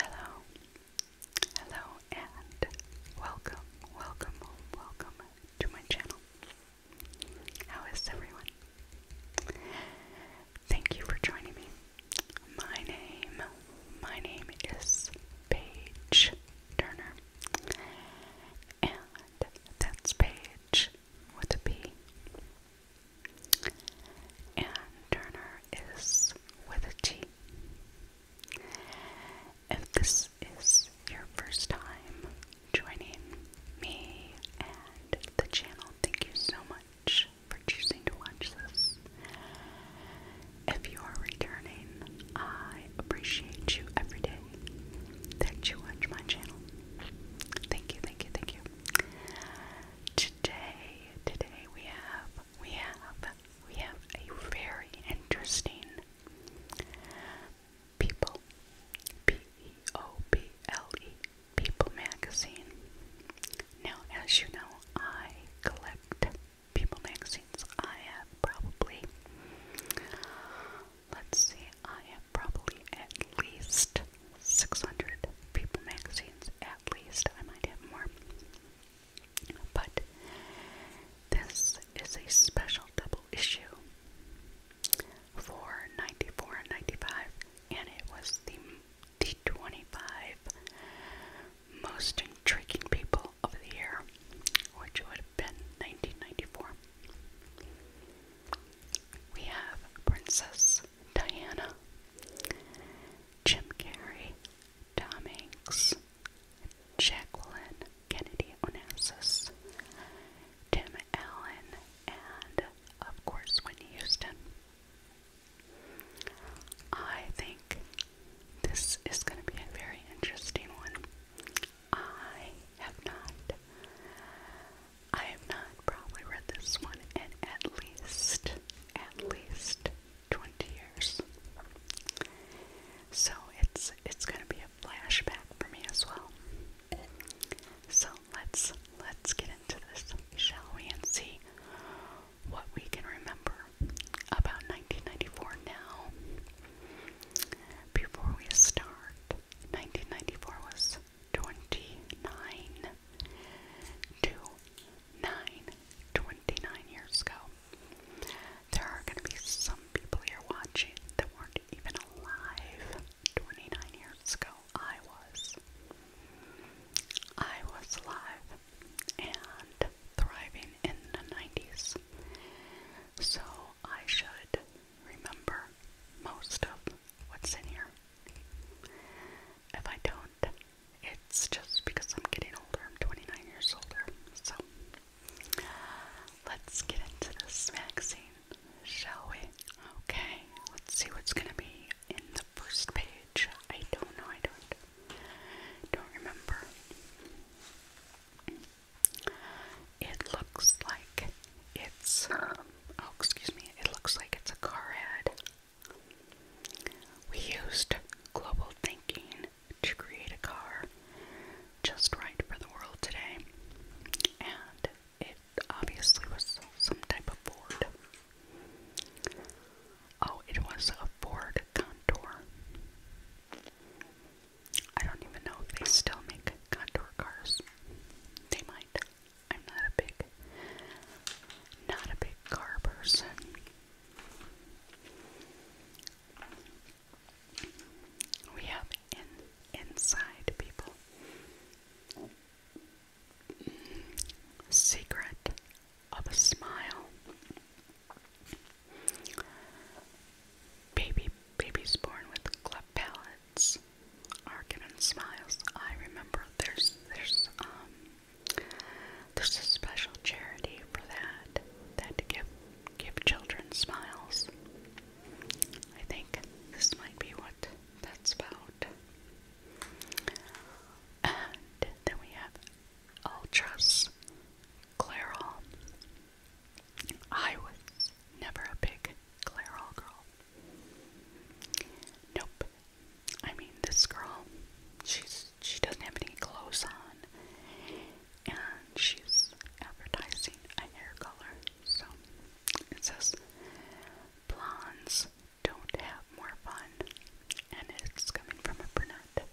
Hello, hello, and welcome, welcome, welcome to my channel. How is everyone? Thank you for joining me. My name, my name is Paige Turner, and that's Paige with a P and Turner is with a T. If this is your first time joining me and the channel, thank you so much for choosing to watch this. If you are returning, I appreciate you every day that you watch my channel. Thank you, thank you, thank you today, today we have, we have, we have a very interesting People, P-E-O-P-L-E, -E, People magazine. Now, as you know, I collect People magazines. I have probably, let's see, I have probably at least 600 People magazines at least. I might have more. But this is a special double issue for 94 and 95 and it was the, the 25 most intriguing people of the year which would have been 1994 we have princess diana Jim Carrey, Tom Hanks, Jacqueline Kennedy Onassis, Tim Allen, and of course Whitney Houston. I think this is going to be a very interesting one. I have not. I have not probably read this one in at least at least 20 years. So it's it's going to be a flashback for me as well. So let's let's get into this, shall we, and see what we can remember about 1994 now. Before we start, 1994 was 29 to 29 years ago. There are going to be some people here watching that weren't even alive 29 years ago. I was. I was alive and thriving in the 90s. So I should remember most of what's in here. If I don't, it's just because I'm getting older. I'm 29 years older. So let's get into this magazine, shall we? Okay, let's see what's going to be in the first page. I don't know. I don't don't remember. It looks like it's oh excuse me. It looks like it's a car ad. We used global thinking to create a car just right for the world today, and it obviously was some type of Ford. Oh, it was a Ford Contour. I don't even know if they still make Contour cars. They might. I'm not a big not a big car person. We have in inside people. Secret of a smile. Baby babies born with cleft palates are given smiles. I remember there's there's um there's a special charity for that, that give give children smiles. I think this might be what that's about. And then we have Ultras, Clairol. I was never a big Clairol girl. Nope. I mean, this girl, she's she doesn't have any clothes on, and she's advertising a hair color. So it says, "Blondes don't have more fun," and it's coming from a brunette.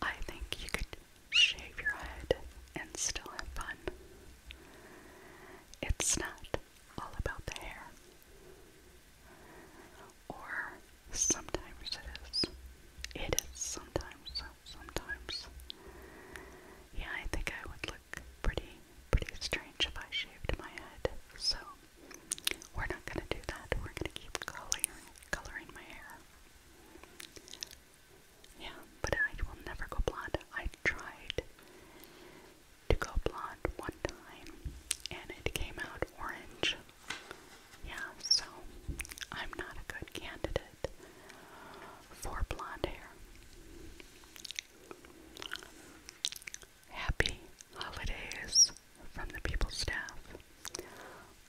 I think you could shave your head and still have fun. It's not all about the hair. Or sometimes it is. It is sometimes, sometimes. Yeah, I think I would look pretty, pretty strange if I shaved my head. So we're not gonna do that. We're gonna keep coloring, coloring my hair. Yeah, but I will never go blonde. I tried to go blonde one time and it came out orange. Yeah, so I'm not a good candidate for blonde hair. Happy holidays from the people staff.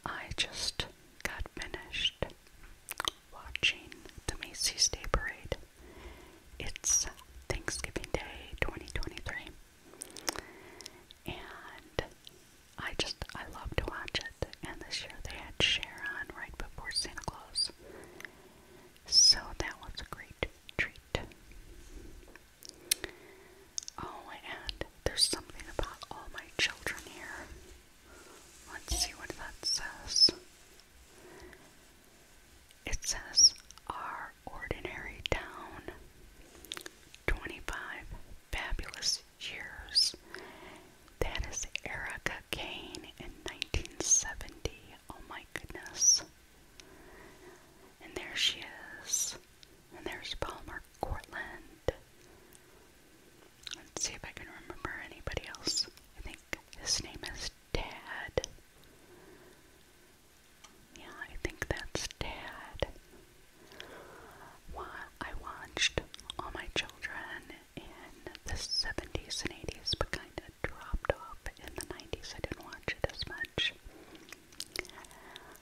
I just got finished watching the Macy's Day Parade. It's Thanksgiving Day 2023. And I just, I love to watch it. And this year they had Sharon right before Santa Claus. So that was a great treat. Oh, and there's something about all my children here. Let's see what that says. It says Our Ordinary Town 25 Fabulous Years. That is Erica Kane in 1970. Oh my goodness. And there she is. And there's Palmer Cortland. Let's see if I can remember anybody else. I think his name is Dad. Yeah, I think that's Dad. Why I watched all my children in the 70s and 80s, but kind of dropped off in the 90s. I didn't watch it as much.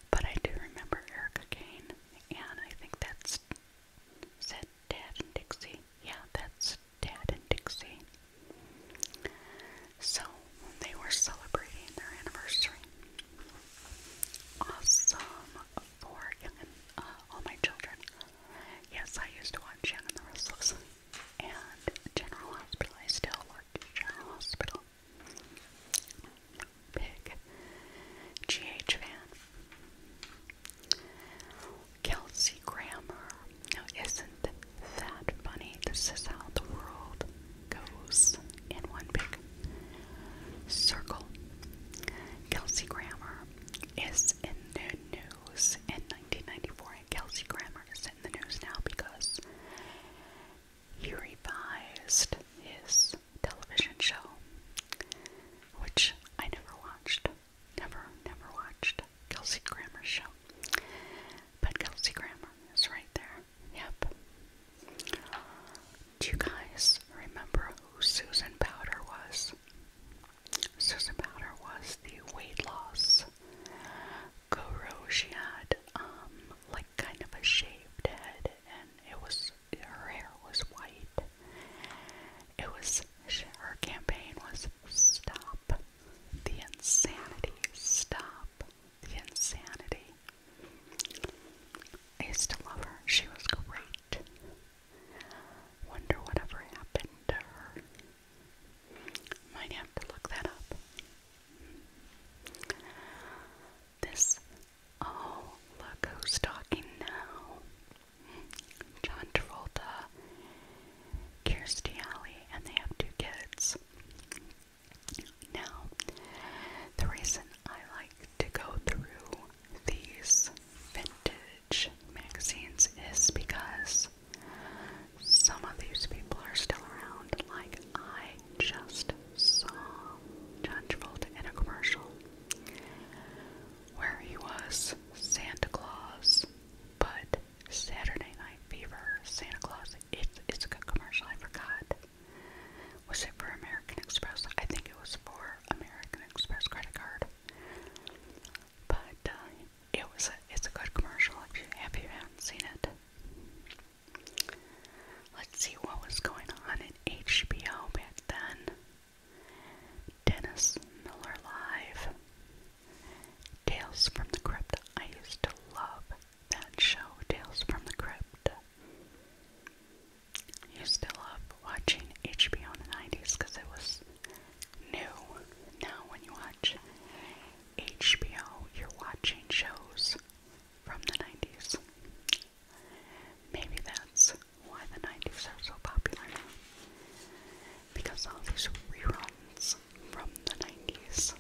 But I do remember Erica Kane, and I think that's. Is that Dad and Dixie? Yeah, that's Dad and Dixie. So they were celebrating their anniversary. Awesome for uh, All My Children. Yes, I used to watch Young and the Restless. And General Hospital. I still work General Hospital. Big GH fan. Kelsey Grammer. Now, isn't that bunny. This is how the world goes in one big circle. Kelsey Grammer is in the news in 1994, and Kelsey Grammer is in the news now because he revised his television show, which I never watched. Never, never watched. Kelsey Grammer show. But Kelsey Grammer is right there. Yep. Do you guys remember who Susan Powder was? Susan Powder was the weight loss guru. She had, um, like kind of a shaved head, and it was her hair was white. It was her campaign was stop the insanity, stop the insanity. I used to love her. She was great. Wonder whatever happened to her. Might have to look that up. This, oh, look who's talking now. John Travolta, Kirstie Alley, and they have two kids. Now, the reason I like to go through these vintage magazines is because some of these people are still around. Like, I just saw John Travolta in a commercial where he was Santa Claus, but Saturday Night Fever, Santa Claus. It's it's a good commercial. I forgot. Was it for American Express? I think it was for American Express credit card. But uh, it was a, it's a good commercial if you if you haven't seen it. Let's see what was going on in HBO back then. Dennis Miller Live. Tales from the Crypt. I used to love that show Tales from the Crypt. You still love watching HBO in the 90s because it was new. Now, when you watch HBO, you're watching shows from the 90s. Maybe that's why the 90s are so popular now. Because all these reruns from the 90s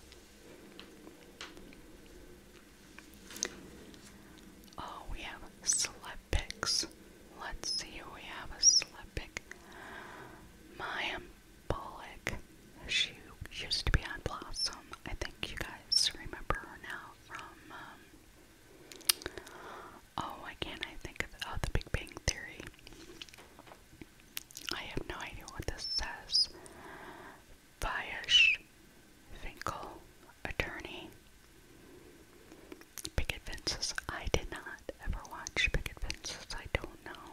Oh, we have Slepics. Let's see who we have a Slepic. Mayim Bullock. She used to be on Blossom. I think you guys remember her now from, um, oh, why can't I think of, oh, The Big Bang Theory. I have no idea what this says. Vayash Finkel, attorney. Picket Fences. I did not ever watch Picket Fences. I don't know.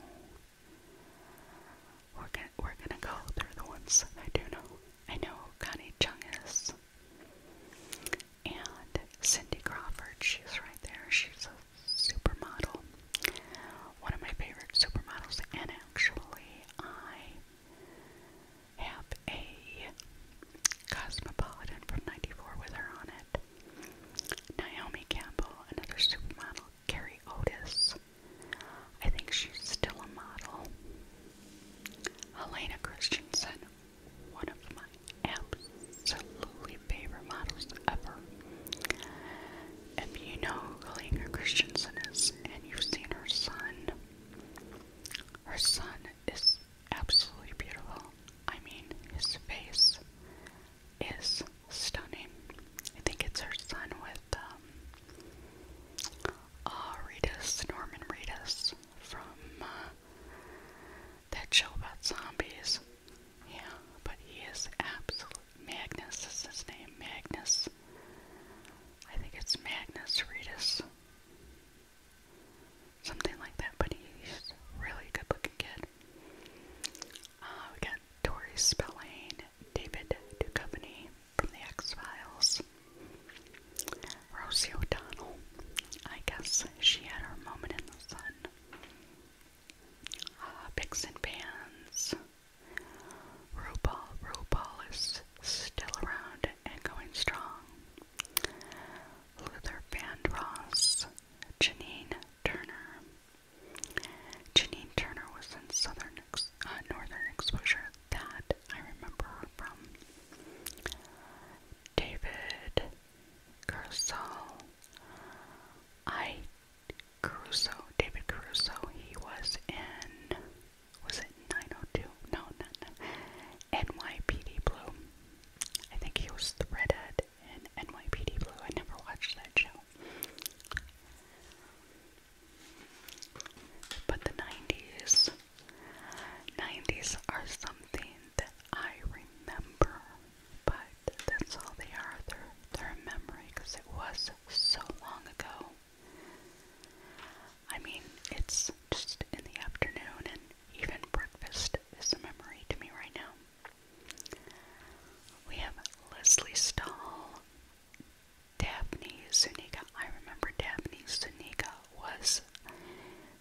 We're gonna, we're gonna go through the ones I do know. I know Connie Chung is. And Cindy Crawford, she's right there. She's a supermodel one of my favorite supermodels, and actually, I have a Cosmopolitan from '94 with her on it. Naomi Campbell, another supermodel, Carrie Otis. I think she's still a model. Helena Christensen, one of my absolutely favorite models ever. If you know Kalinga Christensen is and you've seen her son, her son is absolutely beautiful. I mean, his face is stunning. I think it's her son with um, uh, Reedus, Norman Reedus from uh, that show about zombies. Yeah, but he is absolutely Magnus is his name. Magnus. I think it's Magnus Ritus, Something like that, but he's really good looking kid. Uh, we got Tori Spelling, David Duchovny from The X Files, Rosie O'Donnell. I guess she had her moment in the sun. Uh, and Pans, RuPaul, RuPaul is still around and going strong. Luther Vandross, Janine Turner. Janine Turner was in Southern, uh, Northern Exposure. That I remember her from. David Gersal. I Caruso, David Caruso, he was in, was it 902? No, not, no, NYPD Blue. I think he was the redhead in NYPD Blue. I never watched that show. But the 90s, 90s are something that I remember, but that's all they are. They're, they're a memory because it was so long ago. I mean, it's just in the afternoon, and even breakfast is a memory to me right now. We have Leslie Stahl, Daphne Zuniga. I remember Daphne Zuniga was,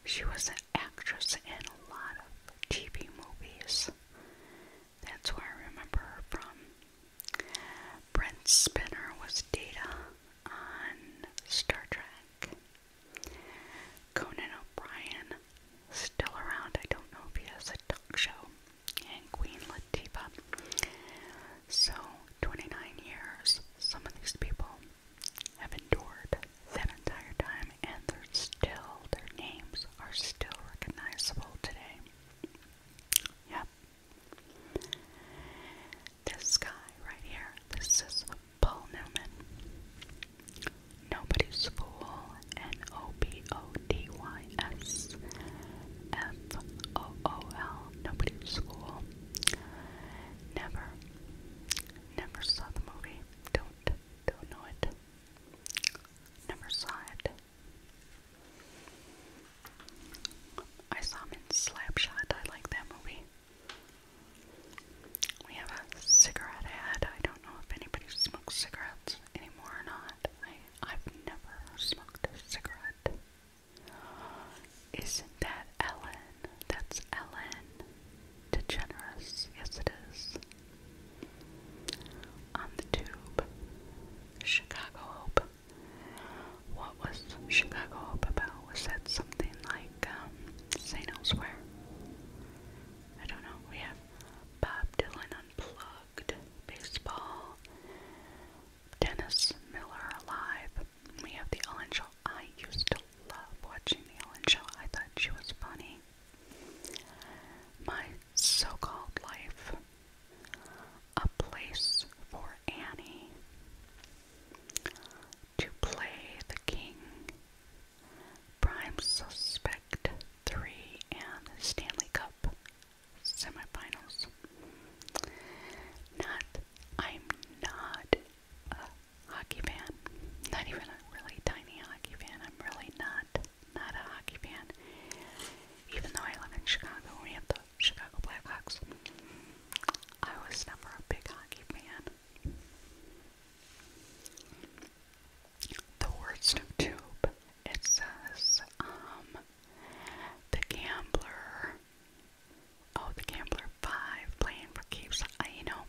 she was an actress in a lot of TV movies. That's why I remember from. Brent Spinner was Data on Star Trek. Conan O'Brien, still around. I don't know if he has a talk show. And Queen Latifah. So, 29 years, some of these people have endured that entire time, and they're still, their names are still recognizable today. Yeah. This guy right here, this is Paul Newman. Nobody's Fool, N O B O D Y S F O O L, Nobody's Fool. Never, never saw the movie. Don't, don't know it. Never saw it. I saw him in Slap Shot. I like that movie. We have a cigarette ad. I don't know if anybody smokes cigarettes anymore or not. I, I've never smoked a cigarette. Isn't that Ellen? That's Ellen DeGeneres. Yes, it is. On the tube, Chicago Hope. What was Chicago up about? Was that something like um, Elsewhere? I don't know. We have Bob Dylan Unplugged, Baseball, Dennis Miller Alive. We have The Ellen Show. I used to love watching The Ellen Show, I thought she was funny. My so called life a place for Annie to play the king. Prime Suspect 3 and Stanley Cup semifinals. Not, I'm not a hockey fan. Not even a really tiny hockey fan. I'm really not not a hockey fan, even though I live in Chicago and we have the Chicago Blackhawks. I was never a big hockey fan. The worst of tube, it says, um, the gambler, oh, the gambler 5 playing for keeps. Uh, you know,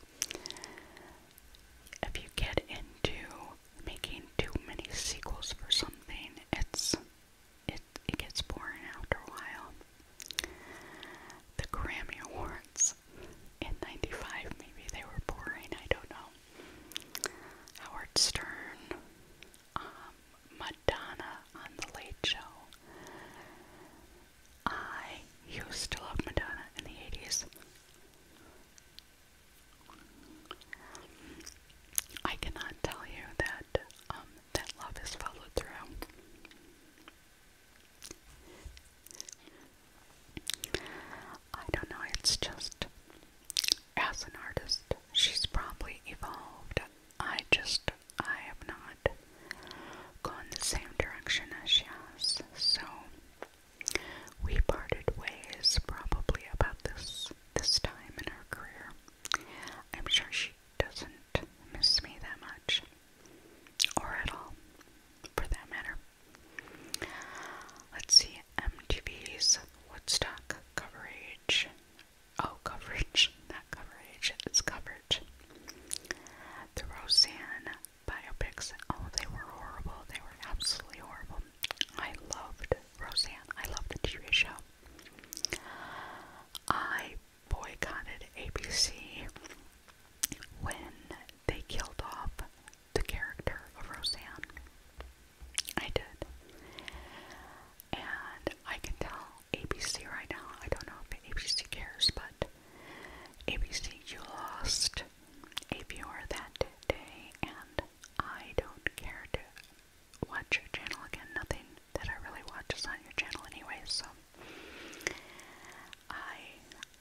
if you get into making too many sequels for something, it's it it gets boring after a while. The Grammy Awards in '95, maybe they were boring. I don't know. Howard Stern, um, Madonna on the Late Show. I used to love Madonna in the '80s. I cannot tell you that um, that love is followed through. I don't know, it's just as an artist, she's probably evolved. I just I have not gone the same direction as she has. So we parted ways probably about this this time in her career. I'm sure she doesn't miss me that much, or at all, for that matter. Let's see MTV's Woodstock coverage. Oh, coverage, not coverage, it's coverage. The Roseanne biopics, oh, they were horrible. They were absolutely horrible. I loved Roseanne. I loved the TV show. I boycotted ABC when they killed off the character of Roseanne. I did. And I can tell ABC right now, I don't know if ABC cares, but ABC, you lost a viewer that day, and I don't care to watch your channel again. Nothing that I really watch is on your channel anyway, so I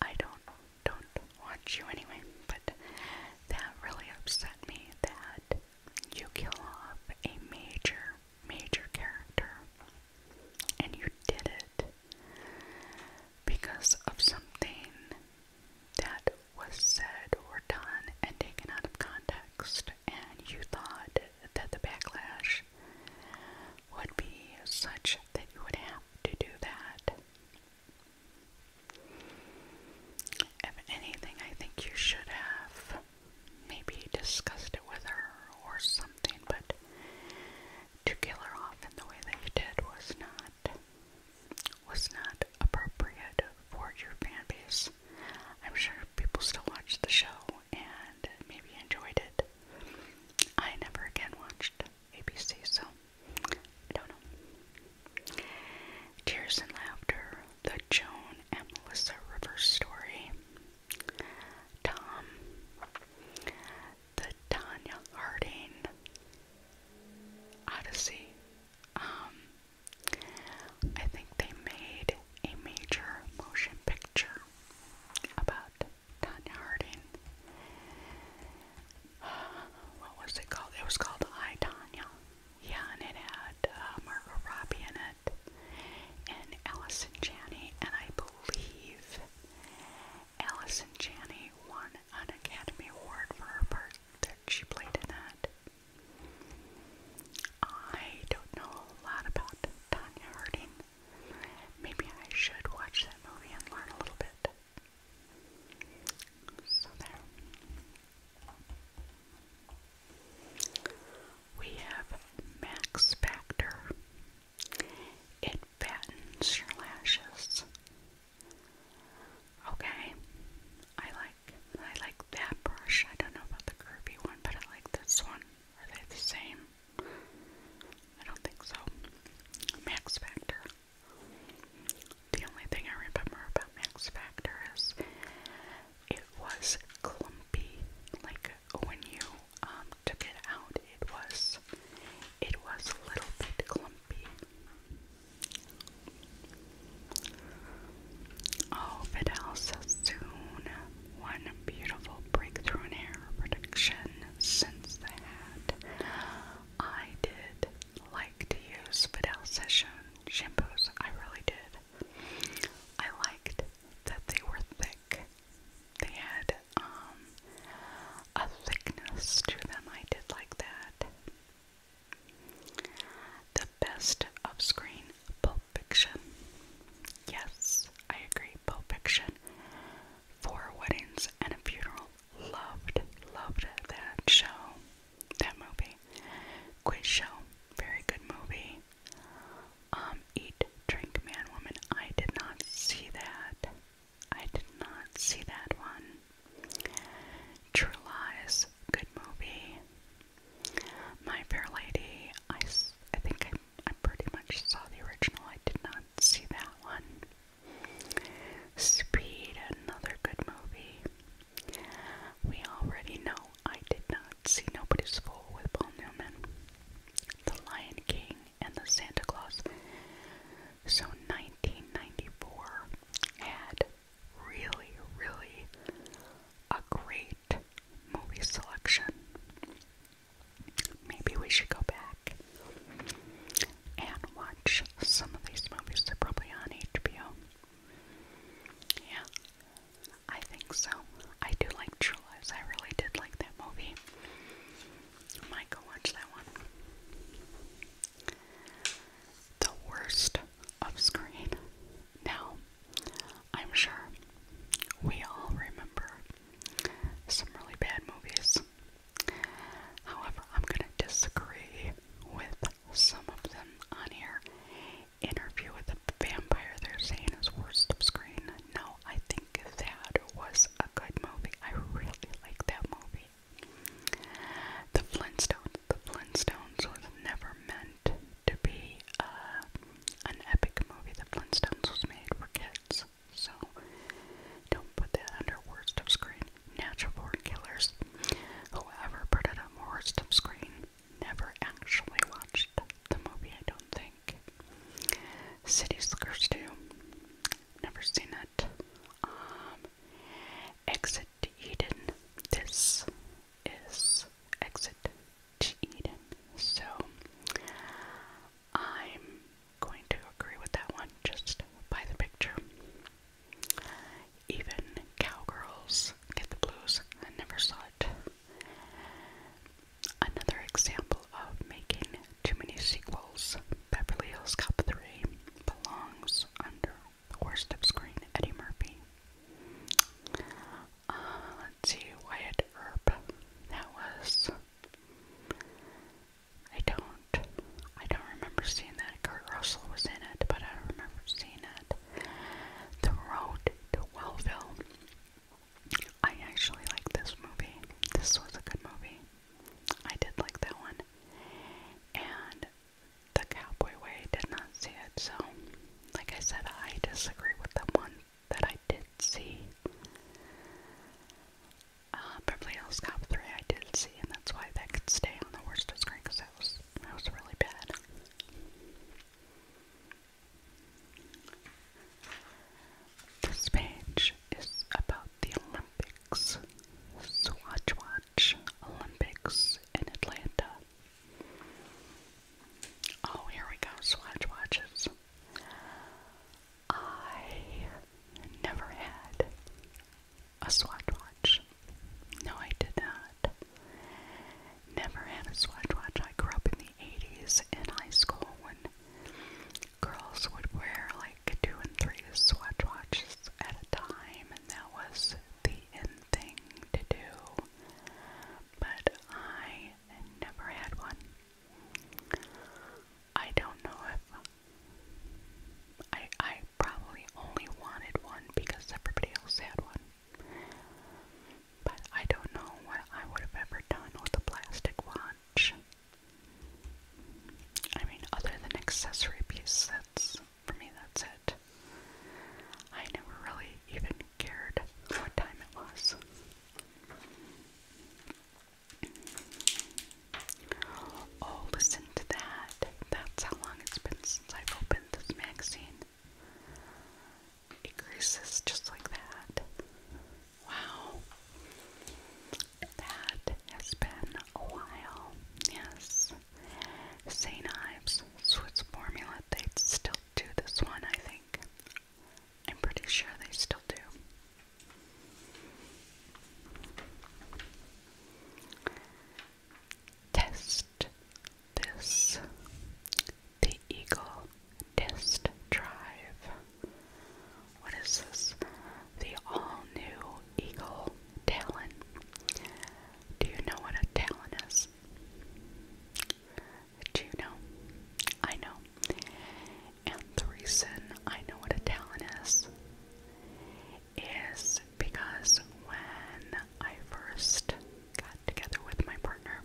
I don't don't watch you anyway. But that really upset me that you kill off a major major character and you did it because of something that was said or done and taken out of context, and you thought that the backlash would be such that you would have to do that. If anything, I think you should have maybe discussed it with her or something, but to kill her off in the way that you did was not was not appropriate for your fan base. I'm sure people still watch the show and maybe enjoyed it. I never again watched ABC, so I don't know. Tears and Laughter, The Joan and Melissa Rivers Story, Tom, The Tanya Harding, Odyssey, um, I think they made a major motion picture about Tanya Harding. what was it called? It was called I, Tanya. Yeah, and it had uh, Margot Robbie in it, and Allison Janney, and I believe Allison Janney won an Academy Award for her part that she played in that. I don't know a lot about Tanya Harding. Maybe I should watch that movie and learn a little bit. So there. We have Max Factor. It fattens your lashes. Okay, I like. I like that brush. I don't know about the curvy one, but I like this one. Are they the same? I don't think so. Max Factor. The only thing I remember about Max Factor is it was clumpy. Like when you um took it out, it was it was a little bit clumpy. Oh, Fidel so One beautiful breakthrough in hair production since the I did like to use Fidel Session shampoos. I really did. I liked that they were thick. They had um, a thickness to them. I did like that. The best of screen Pulp Fiction. Yes, I agree. Pulp Fiction. Four weddings and a funeral. Loved, loved that show, that movie. Quiz show, very good movie. Um, eat, drink, man, woman. I did not see that. I did not see that one. True Lies, good movie. My Fair Lady, I, I think I, I pretty much saw the original. I did not see that one. Speed, another good movie. We already know I did not see Nobody's Fool with Paul Newman, The Lion King, and The Santa Claus. So 1994 had really, really a great movie selection. Maybe we should go back and watch some of these movies. They're probably on HBO. Yeah, I think so. I do like True Lies. I really did like that movie. might go watch that one. The worst of screen. Now, I'm sure we all remember some really bad movies. However, I'm going to disagree with some of them on here. Interview with the Vampire, they're saying, is worst of screen. No, I think that was a good movie. I really like that movie. The Flintstones. The Flintstones was never meant to be uh, an epic movie that Flintstones was made for kids. So don't put that under worst of screen. Natural born killers. Whoever put it on worst of screen never actually watched the movie, I don't think. City Slickers too, Never seen it. Um, Exit to Eden. This is Exit to Eden. So I'm going to agree with that one just by the picture. Even cowgirls get the blues. I never saw it. Another example of making too many sequels. Beverly Hills Cop 3 belongs under the worst of screen Eddie Murphy uh, let's see, Wyatt Earp. That was. I don't. I don't remember seeing that. Kurt Russell was in it, but I don't remember seeing it. The Road to Wellville. I actually like this movie. This was a good movie. I did like that one. And the cowboy way did not see it, so like I said, I disagree with the one that I did see. Uh, Beverly Hills Cop 3 I did see, and that's why that could stay on the worst of screen, because that was, that was really bad. This page is about the Olympics, Swatch Watch Olympics in Atlanta. Oh, here we go, Swatch Watches. I never had a Swatch Watch. No, I did not. Never had a Swatch Watch. I grew up in the 80s in high school when girls would wear like two and three Swatch Watches at a time, and that was the in thing to do but I never had one. I don't know if I I probably only wanted one because everybody else had one. But I don't know what I would have ever done with a plastic watch. I mean, other than accessory piece, that's for me that's it. I never really even cared what time it was. Oh, listen to that. That's how long it's been since I've opened this magazine. It creases just like that. Wow. That has been a while. Yes. Say knives, Swiss formula, they still do this one, I think. I'm pretty sure they still do. Test this. The Eagle Test Drive. What is this? The all new Eagle Talon. Do you know what a Talon is? Juno. I know. And the reason I know what a talon is is because when I first got together with my partner,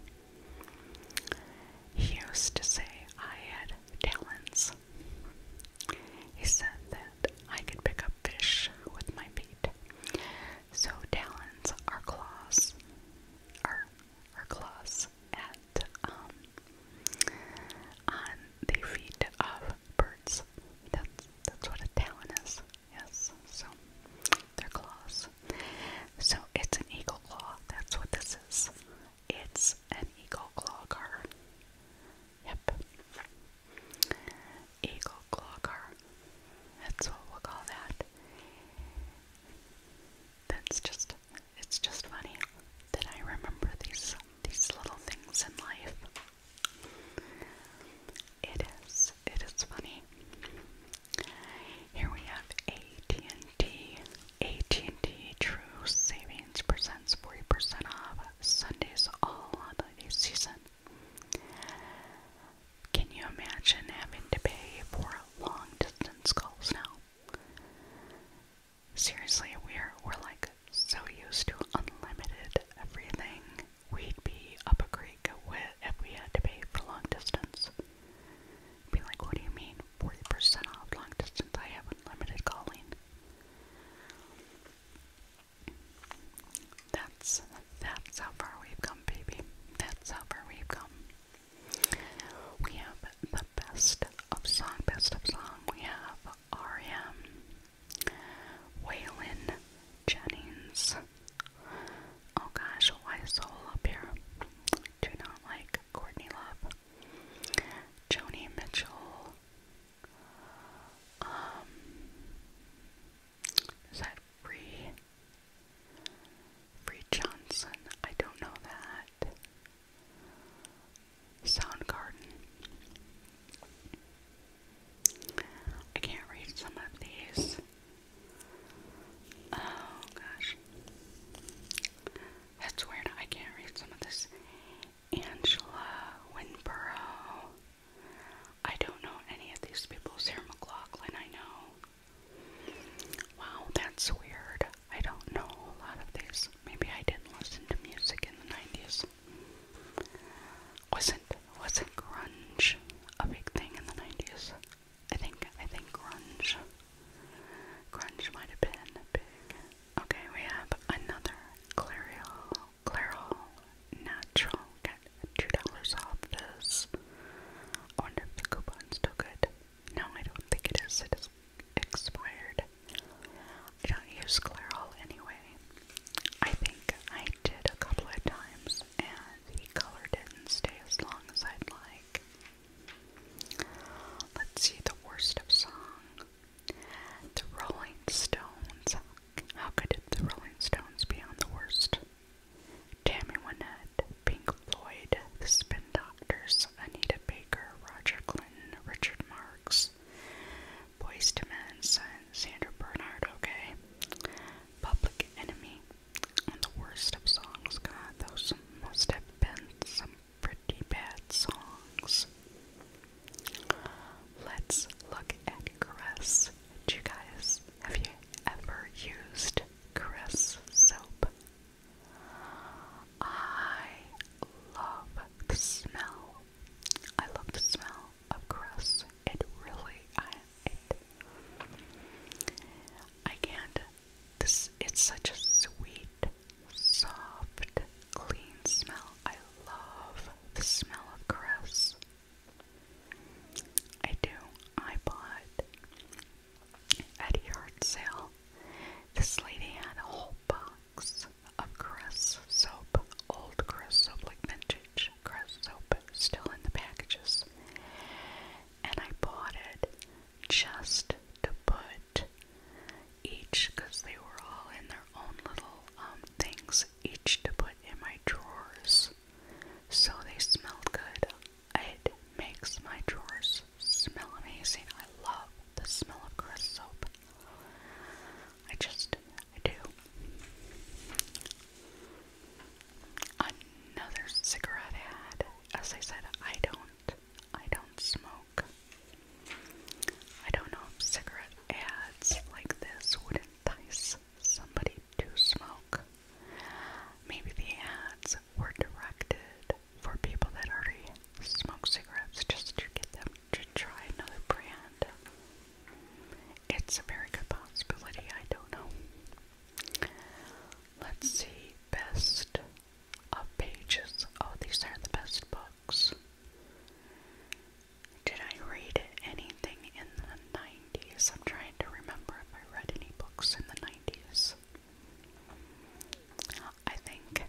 he used to say I had talons. He said that I could pick up fish with my feet. So, talons are claws our claws at um on the feet of birds. That's that's what a talon is. Yes. So their claws. So it's an eagle claw. That's what this is. It's an eagle claw car. Yep. Eagle claw that's what we'll call that. That's just it's just funny that I remember these these little things in life. It is it is funny. Here we have AT&T. AT&T True Savings presents 40% off Sundays all the season. Can you imagine having to pay for long distance calls now? Seriously, we're we're like so used to unlimited everything. We'd be up a creek if we had to pay for long distance. Be like, what do you mean? Forty percent off long distance? I have unlimited calling. That's that's how far we've come, baby. That's how far we've come. We have the best of song, best of song. We have R.E.M., Waylon Jennings. Oh gosh, why is Soul here? Do not like Courtney Love. Joni Mitchell. Um, is that Bree? Bree Johnson. I don't know that. Soundgarden. I can't read some of these. Oh gosh. That's weird. I can't read some of this. Angela Winborough. I don't know any of these people. Sarah McLaughlin, I know. Wow, that's weird. I don't know a lot of these. Maybe I didn't listen to music in the 90s. Wasn't wasn't grunge a big thing in the 90s? I think I think grunge. Grunge might have been big. Okay, we have another Clairol Clairol natural two dollars off this. I wonder if the coupon's still good. No, I don't think it is. It is expired. I don't use Clairol anyway. I think I did a couple of times, and the color didn't stay as long as I'd like. Let's see the worst of song. The Rolling Stones. How could the Rolling Stones be on the worst? Tammy Wynette, Pink Floyd, The Spin Doctors, Anita Baker, Roger Clinton, Richard Marx, Boyz II Men, Sandra Bernhard, okay, Public Enemy, and the worst of songs, God, those must have been some pretty bad songs. Let's look at caress. Do you guys, have you ever used Cress soap. I love the smell. I love the smell of Cress. It really, I, I can't. This, it's such a sweet, soft, clean smell. I love the smell of Cress. I do iPod at a yard sale. This lady had a whole box of Crest soap, old Crest soap, like vintage Crest soap, still in the packages. And I bought it just to put each, because they were all in their own little um, things, each to put in my drawers. So they smelled good it makes my drawers smell amazing. I love the smell of Crest soap. I just, I do. Another cigarette ad. As I said, I don't, I don't smoke. I don't know if cigarette ads like this would entice somebody to smoke. Maybe the ads were directed for people that already smoke cigarettes just to get them to try another brand. It's a very good possibility, I don't know. Let's see, best of pages. Oh, these are the best books. Did I read anything in the I'm trying to remember if I read any books in the 90s. I think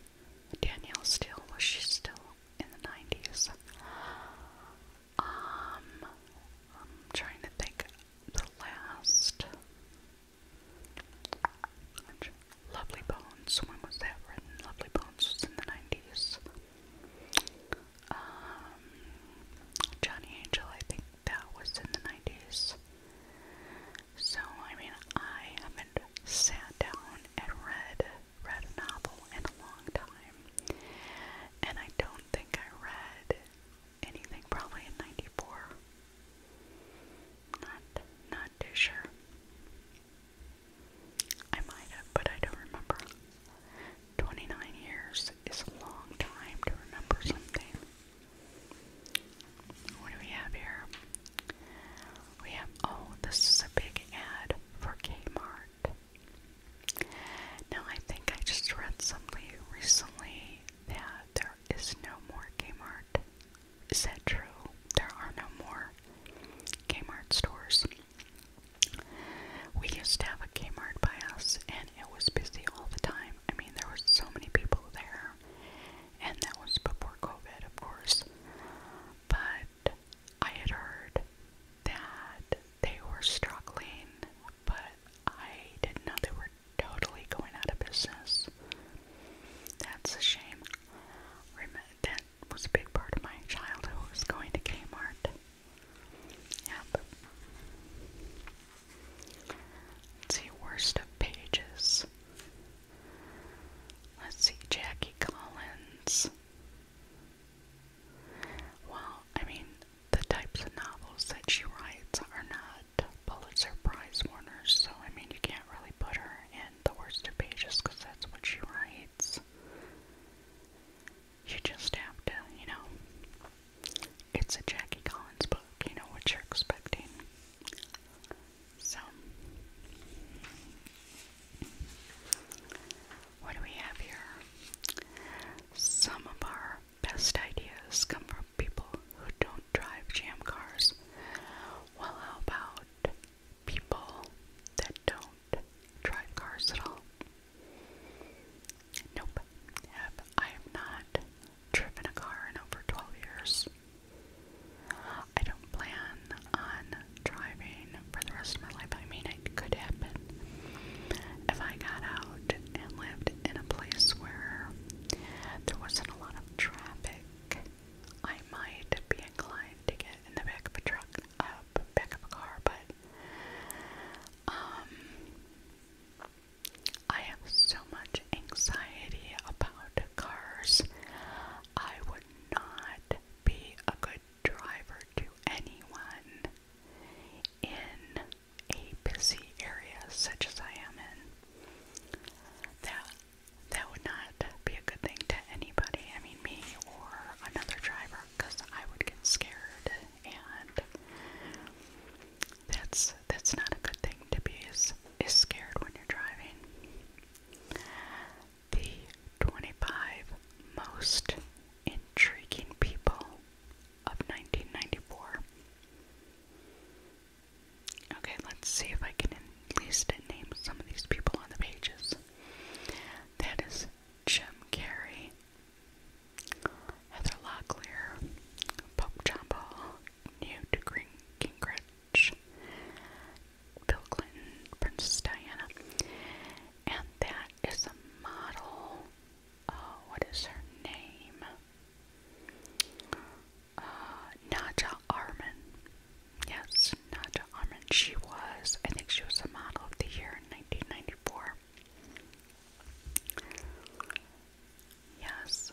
Danielle Steele was she still in the 90s? Um, I'm trying to think the last. Lovely Bones. When was that written? Lovely Bones was in the 90s. Um, Johnny Angel, I think, that was in the 90s. So, I mean, I haven't sat down and read, read a novel in a long time. And I don't think I read anything probably in 94. Not, not too sure. I might have, but I don't remember. 29 years is a long time to remember something. What do we have here? We have, oh, this is a big ad for Kmart. Now, I think I just read something recently that there is no more Kmart. Is that true? There are no more Kmart stores. We used to have a Kmart by us, and it was busy all the time. I mean, there were so many people there, and that was before COVID, of course. But I had heard that they were struggling, but I didn't know they were totally going out of business. That's a shame. That was a big part of my childhood was going to Kmart. Yep. Let's see, worst of pages. Let's see, Jackie Collins. Well, I mean, the types of novels that she writes are not Pulitzer Prize winners, so I mean, you can't really put her in the worst of pages because that's what she writes. You just have to, you know, it's a Jackie Collins book, you know what you're expecting. So, what do we have here? Some of our best ideas come from people who don't drive jam cars. Well, how about people that don't drive cars at all? Nope. Have, I have not driven a car in over 12 years. I don't plan on driving for the rest of my life. I mean, it could happen. If I got out and lived in a place where there wasn't a lot of traffic, I might be inclined to get in the back of a truck, uh, back of a car, but um, I have so much anxiety about cars. I would not be a good driver to anyone in a busy area such as I am in. That that would not be a good thing to anybody, I mean me or another driver, because I would get scared and that's that's not a good thing to be is is scared when you're driving. The 25 most intriguing people of 1994. Okay, let's see if I can at least name some of these people on the pages. That is Jim Carrey, Heather Locklear, Pope Chapel, Newt Gingrich, Bill Clinton, Princess Diana. And that is a model. Oh, what is her name? Uh, Naja Arman. Yes, Naja Arman. She was, I think she was a model of the year in 1994. Yes.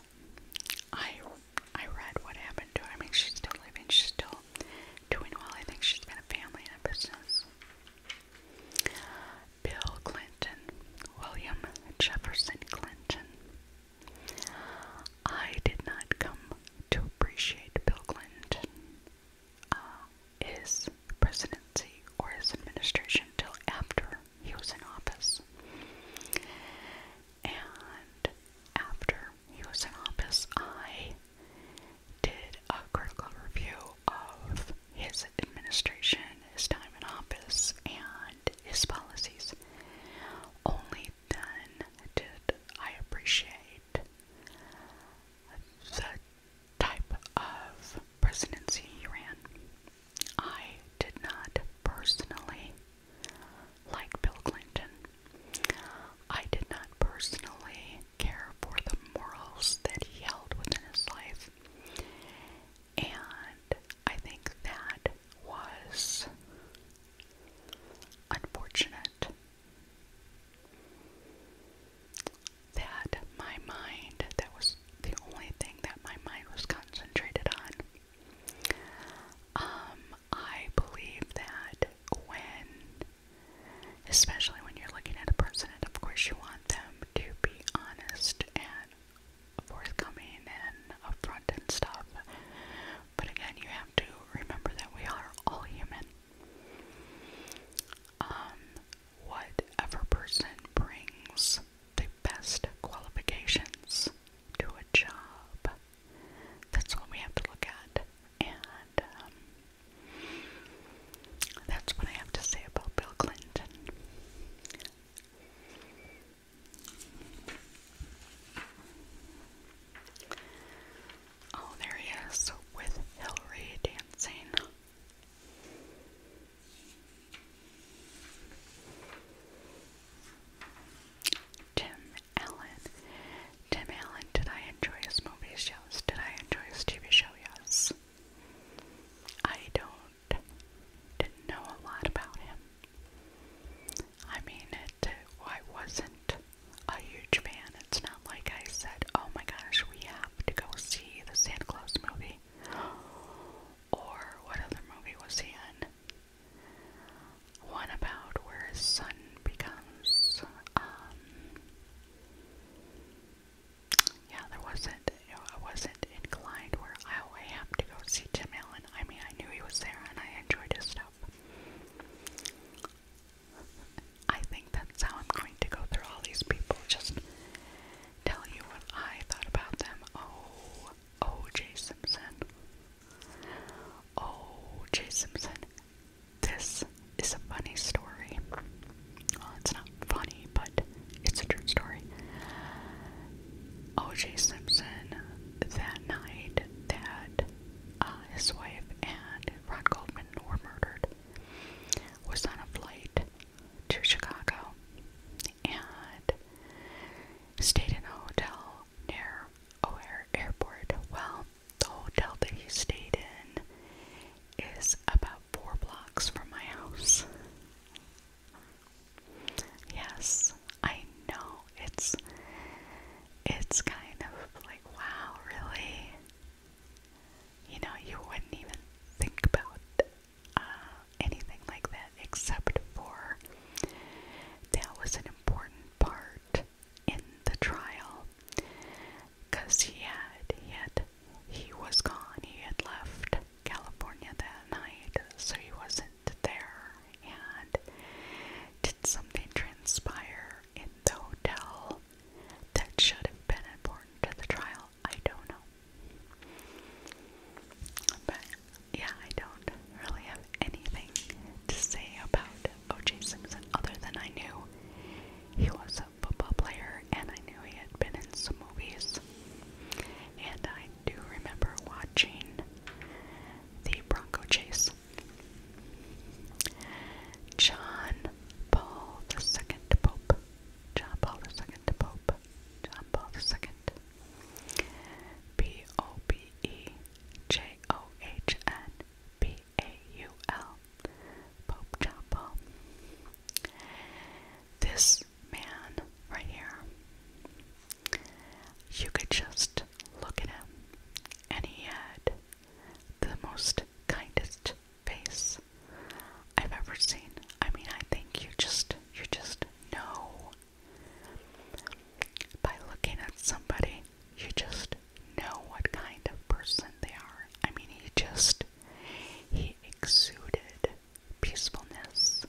I I read what happened to her. I mean she's still living, she's still doing well. I think she's got a family and a business. Bill Clinton, William Jefferson Clinton. I did not come to appreciate Bill Clinton, uh, his presidency or his administration till after he was in office. And after he was in office, I did a critical review of his administration, his time in office, and his policies. Only then did I appreciate the type of presidency he ran. I did not personally like Bill Clinton. I did not personally care for the morals that he held within his life. And I think that was unfortunate that my mind, that was the only thing that my mind was concentrated on, um, I believe that when, especially when you're looking at a person, of course you want them to be honest and forthcoming and upfront and stuff, but again, you have to remember that we are all human. Um, whatever person brings the best qualifications to a job. That's what we have to look at. And um, that's what I have to say about Bill Clinton. Oh, there he is with Hillary dancing. Tim Allen. Tim Allen, did I enjoy his movies? Yes. Did I enjoy his TV show? Yes. I don't know a lot about him. I mean it I wasn't a huge fan. It's not like I said, Oh my gosh, we have to go see the Santa Claus movie. Or what other movie was he in? One about where his son becomes, um, yeah, there wasn't, you know, I wasn't inclined where I, I happened to go see Tim Allen. I mean, I knew he was there and I enjoyed his stuff. I think that's how I'm going to go through all these people, just tell you what I thought about them. Oh, O.J. Simpson. O.J. Simpson. This is a funny story. Well, it's not funny, but it's a true story. O.J. Simpson, that night that uh, his wife and Rod Goldman were murdered, was on a flight to Chicago. And stayed in a hotel near O'Hare Airport. Well, the hotel that you stayed in is about four blocks from my house. Yes, I know it's it's kind of like wow, really. You know, you wouldn't even think about uh, anything like that, except for that was an important part in the trial because he had, he had, he was gone, he had left California that night, so he wasn't there. And did something transpire in the hotel that should have been important to the trial? I don't know. But yeah, I don't really have anything to say about OJ Simpson other than I knew he was a football player and I knew he had been in some movies. And I do remember watching the Bronco Chase. John Paul II Pope. John Paul II Pope. John Paul II B O B E J O H N B A U L Pope John This man right here, you could just look at him, and he had the most kindest face I've ever seen. I mean, I think you just you just know by looking at somebody, you just know what kind of person they are. I mean, he just, he exuded peacefulness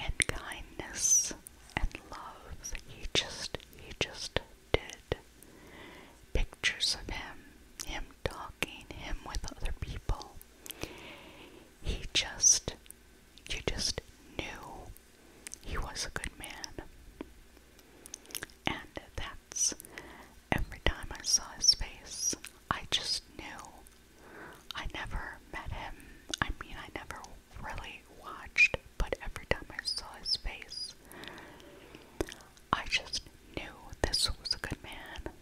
and kindness and love. He just, he just did. Pictures of him, him talking, him with other people. He just you just knew he was a good man. And that's every time I saw his face, I just knew. I never met him. I mean, I never really watched, but every time I saw his face, I just knew this was a good man.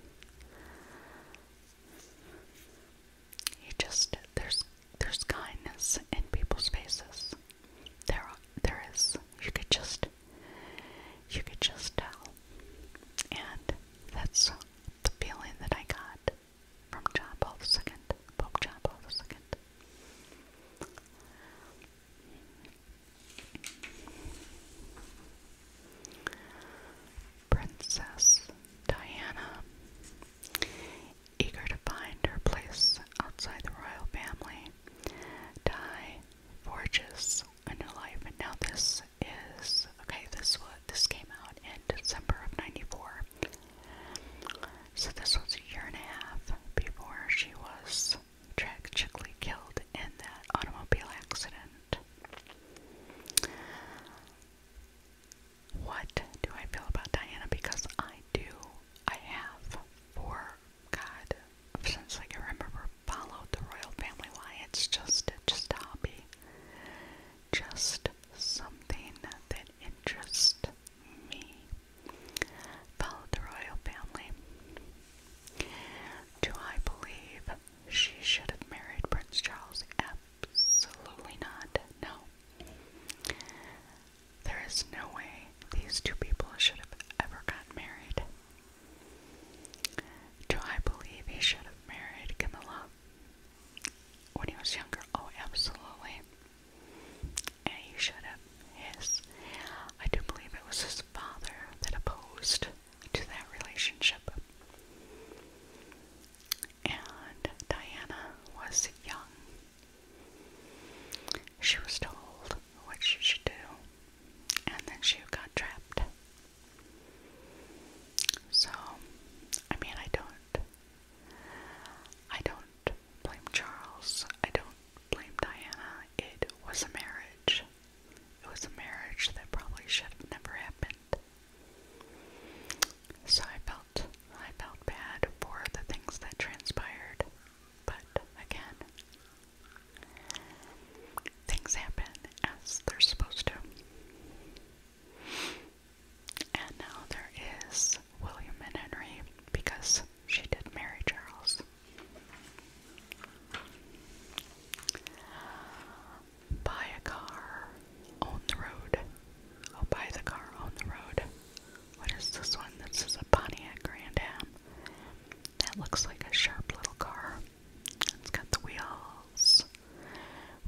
You just there's there's kindness in people's faces. There there is. You could just you could just tell. And that's the feeling that I got from John Paul II, Pope John Paul II. Princess Diana, eager to find her place outside the royal family, Di forges a new life. And now this is okay. This was this came out in December of '94, so this was a year and a half before she was tragically killed in that automobile accident what do I feel about Diana? Because I do. I have for God since I can remember followed the royal family Wyatt's just just a hobby. Just something that interests me. Followed the royal family. Do I believe she should have married Prince Charles? Absolutely not. No. There is no way these two people should have ever gotten married. Do I believe he should have married Camilla when he was younger? Oh, absolutely. And he should have. Yes. I do believe it was his father that opposed to that relationship and Diana was young. She was told what she should do, and then she got trapped. So, I mean, I don't, I don't blame Charles. I don't blame Diana. It was a marriage. It was a marriage that probably should have never happened. So I felt I felt bad for the things that transpired, but again, things happen as they're supposed to. And now there is William and Henry because she did marry Charles buy a car on the road. I'll buy the car on the road. What is this one? This is a Pontiac Grand Am. That looks like a sharp little car. It's got the wheels.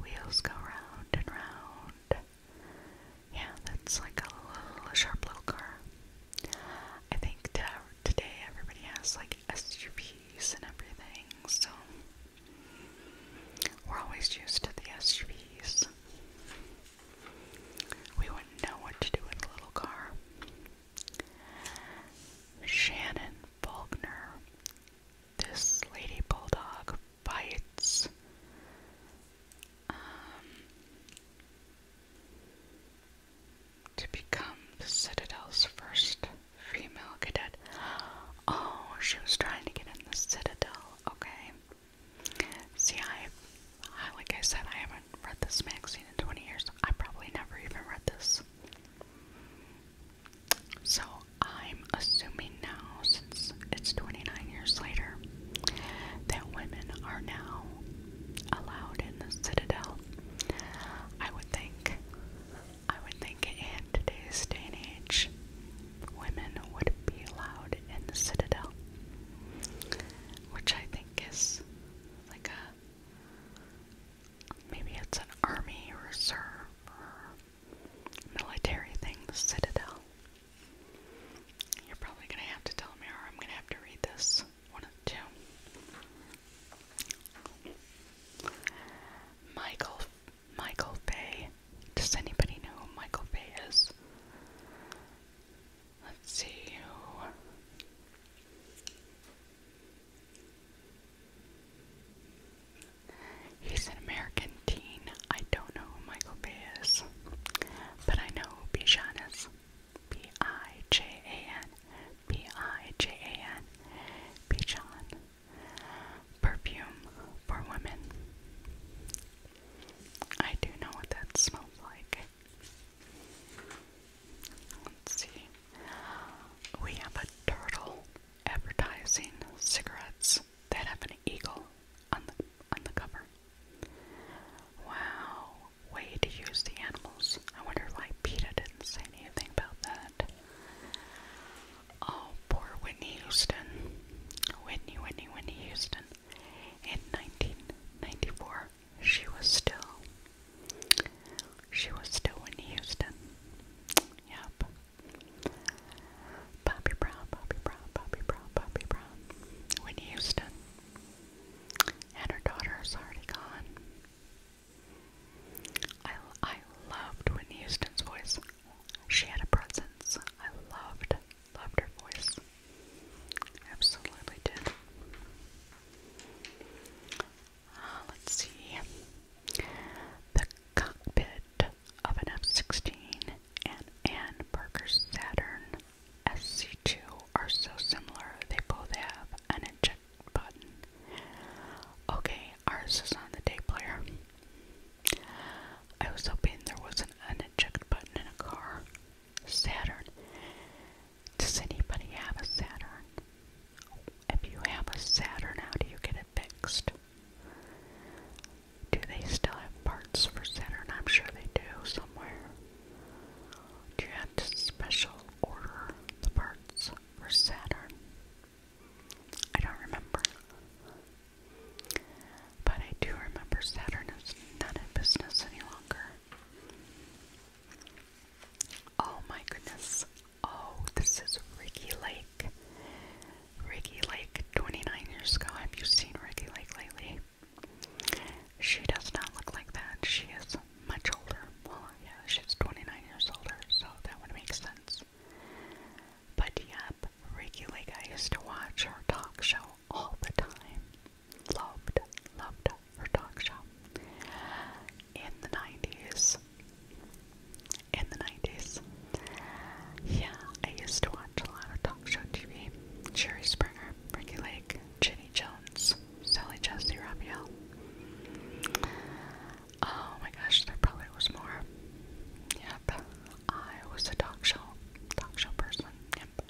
Wheels go round and round. Yeah, that's like a little sharp little car. I think today everybody has like SUVs and everything, so we're always used to the SUVs. We wouldn't know what to do with a little car. Shannon Faulkner. This lady bulldog bites. Um, to become the Citadel's first female cadet. Oh, she was trying to get in the Citadel okay? See, I, like I said, I haven't read this magazine in 20 years. I probably never even read this. So, I'm assuming now, since it's 29 years later, that women are now allowed in the Citadel. I would think, I would think it in today's day and age, women would be allowed in the Citadel, which I think is like a maybe it's an army reserve military thing, the Citadel. You're probably gonna have to tell me, or I'm gonna have to read this one of two. Michael Michael Bay. Does anybody know who Michael Bay is? Let's see He's an American teen. I don't know who Michael Bay is, but I know who B I J A N. B I J A N. Bijan perfume for women. I do know what that smells like. Let's see. We have a turtle advertising cigarettes that have an eagle on the on the cover. Wow, way to use the animals. I wonder why PETA didn't say anything about that. Oh, poor Whitney Houston. Whitney, Whitney, Whitney Houston. In 1994, she was still, she was still Whitney Houston. Yep. Bobby Brown, Bobby Brown, Bobby Brown, Bobby Brown. Whitney Houston. And her daughter is already gone. I, I loved Whitney Houston's voice. She had a presence. I loved, loved her voice. Absolutely did. Uh, let's see. The cockpit of an F 16 and Ann Parker's Saturn SC2 are so similar, they both have an eject button. Okay, ours is on the tape player. I was hoping there was an eject button in a car. Saturn. Does anybody have a Saturn? If you have a Saturn, how do you get it fixed? Do they still have parts for Saturn? I'm sure they do somewhere. Do you have to special order the parts for Saturn? I don't remember. But I do remember Saturn is not in business any longer. Oh my goodness. Oh, this is Ricky Lake. Ricky Lake, 29 years ago. Have you seen Ricky Lake lately? She does not look like that. She is much older. Well, yeah, she's 29 years older, so that would make sense. But yep, Ricky Lake, I used to watch her talk show all the time. Loved, loved her talk show. In the 90s. In the 90s. Yeah, I used to watch a lot of talk show TV. Jerry Springer, Ricky Lake, Jenny Jones, Sally Jesse Raphael. Oh my gosh, there probably was more. Yep. I was a talk show, talk show person. Yep.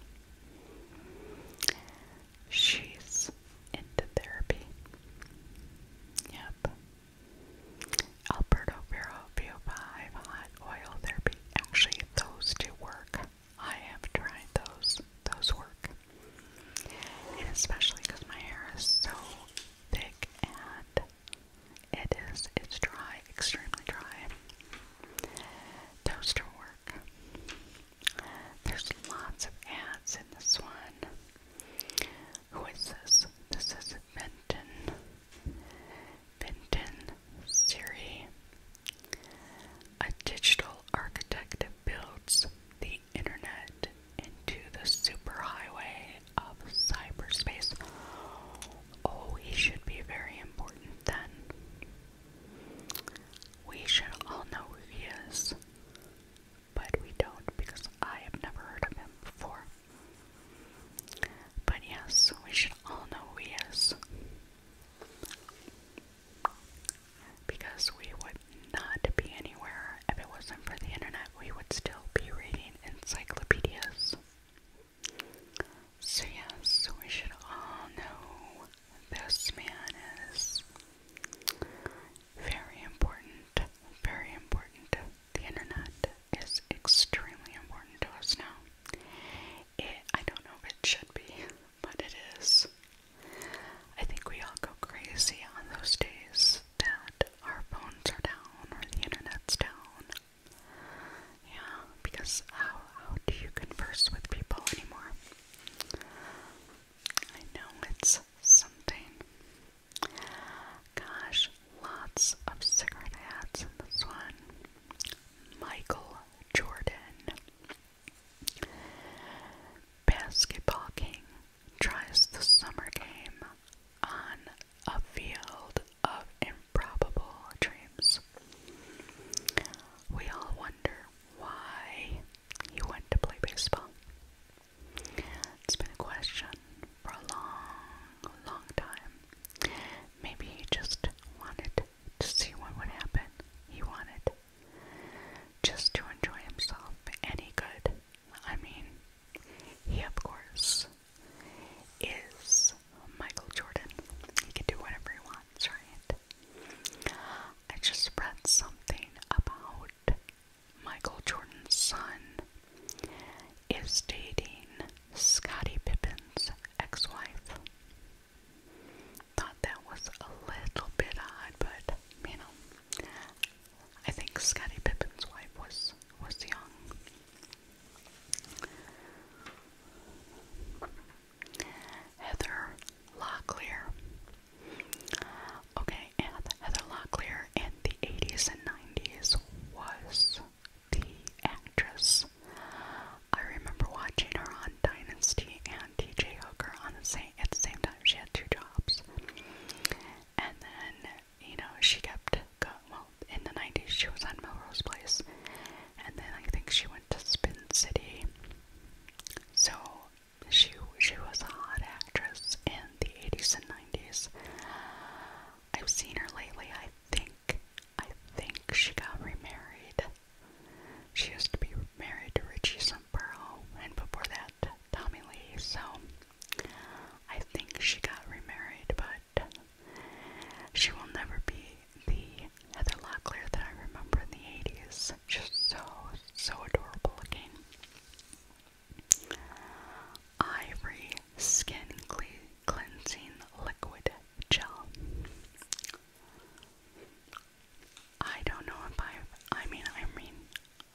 She's into therapy. Yep. Alberto Vero VO5 hot oil therapy. Actually, those do work. I have tried those. Those work. And especially because my hair is so thick and it is, it's dry, extremely dry. Toaster work. There's lots of ads in this one. Who is this? This is Benton. Benton Siri. A digital architect that builds the internet into the superhighway of cyberspace. Oh, he should be very important then. We should all know who he is, but we don't because I have never heard of him before. But yes, we should all know who he is. Because we would not be anywhere if it wasn't for the internet, we would still be reading encyclopedias. So, yes, we should all know this man is very important. Very important. The internet is extremely important to us now. It, I don't know if it should be, but it is. I think we all go crazy on those days that our phones are down or the internet's down. Yeah, because how how do you converse with people anymore? I know it's something. Gosh, lots of cigarette ads in this one. Michael Jordan. Basketball King tries the summer game on a field of improbable dreams. We all wonder why he went to play baseball. It's been a question for a long, long time. Maybe he just wanted to see what would happen. He wanted just to enjoy himself any good. I mean, he of course is Michael Jordan. He can do whatever he wants, right? I just read something about Michael Jordan's son is dating Scottie Pippen's ex-wife. Thought that was a little bit odd, but you know, I think Scottie Pippen's wife was was young. Heather Locklear. Okay, Heather Locklear in the 80s and 90s was the actress. I remember watching her on Dynasty and TJ Hooker on the same at the same time. She had two jobs. And then, you know, she kept go, in the 90s, she was on Melrose Place. And then I think she went to Spin City. So she, she was a hot actress in the 80s and 90s. I've seen her lately. I think, I think she got remarried. She used to be married to Richie Samborough, and before that, Tommy Lee. So I think she got remarried, but she will never be the Heather Locklear that I remember in the 80s. Just so, so adorable looking. Ivory Skin Cleansing Liquid Gel. I don't know if I've, I mean, I mean,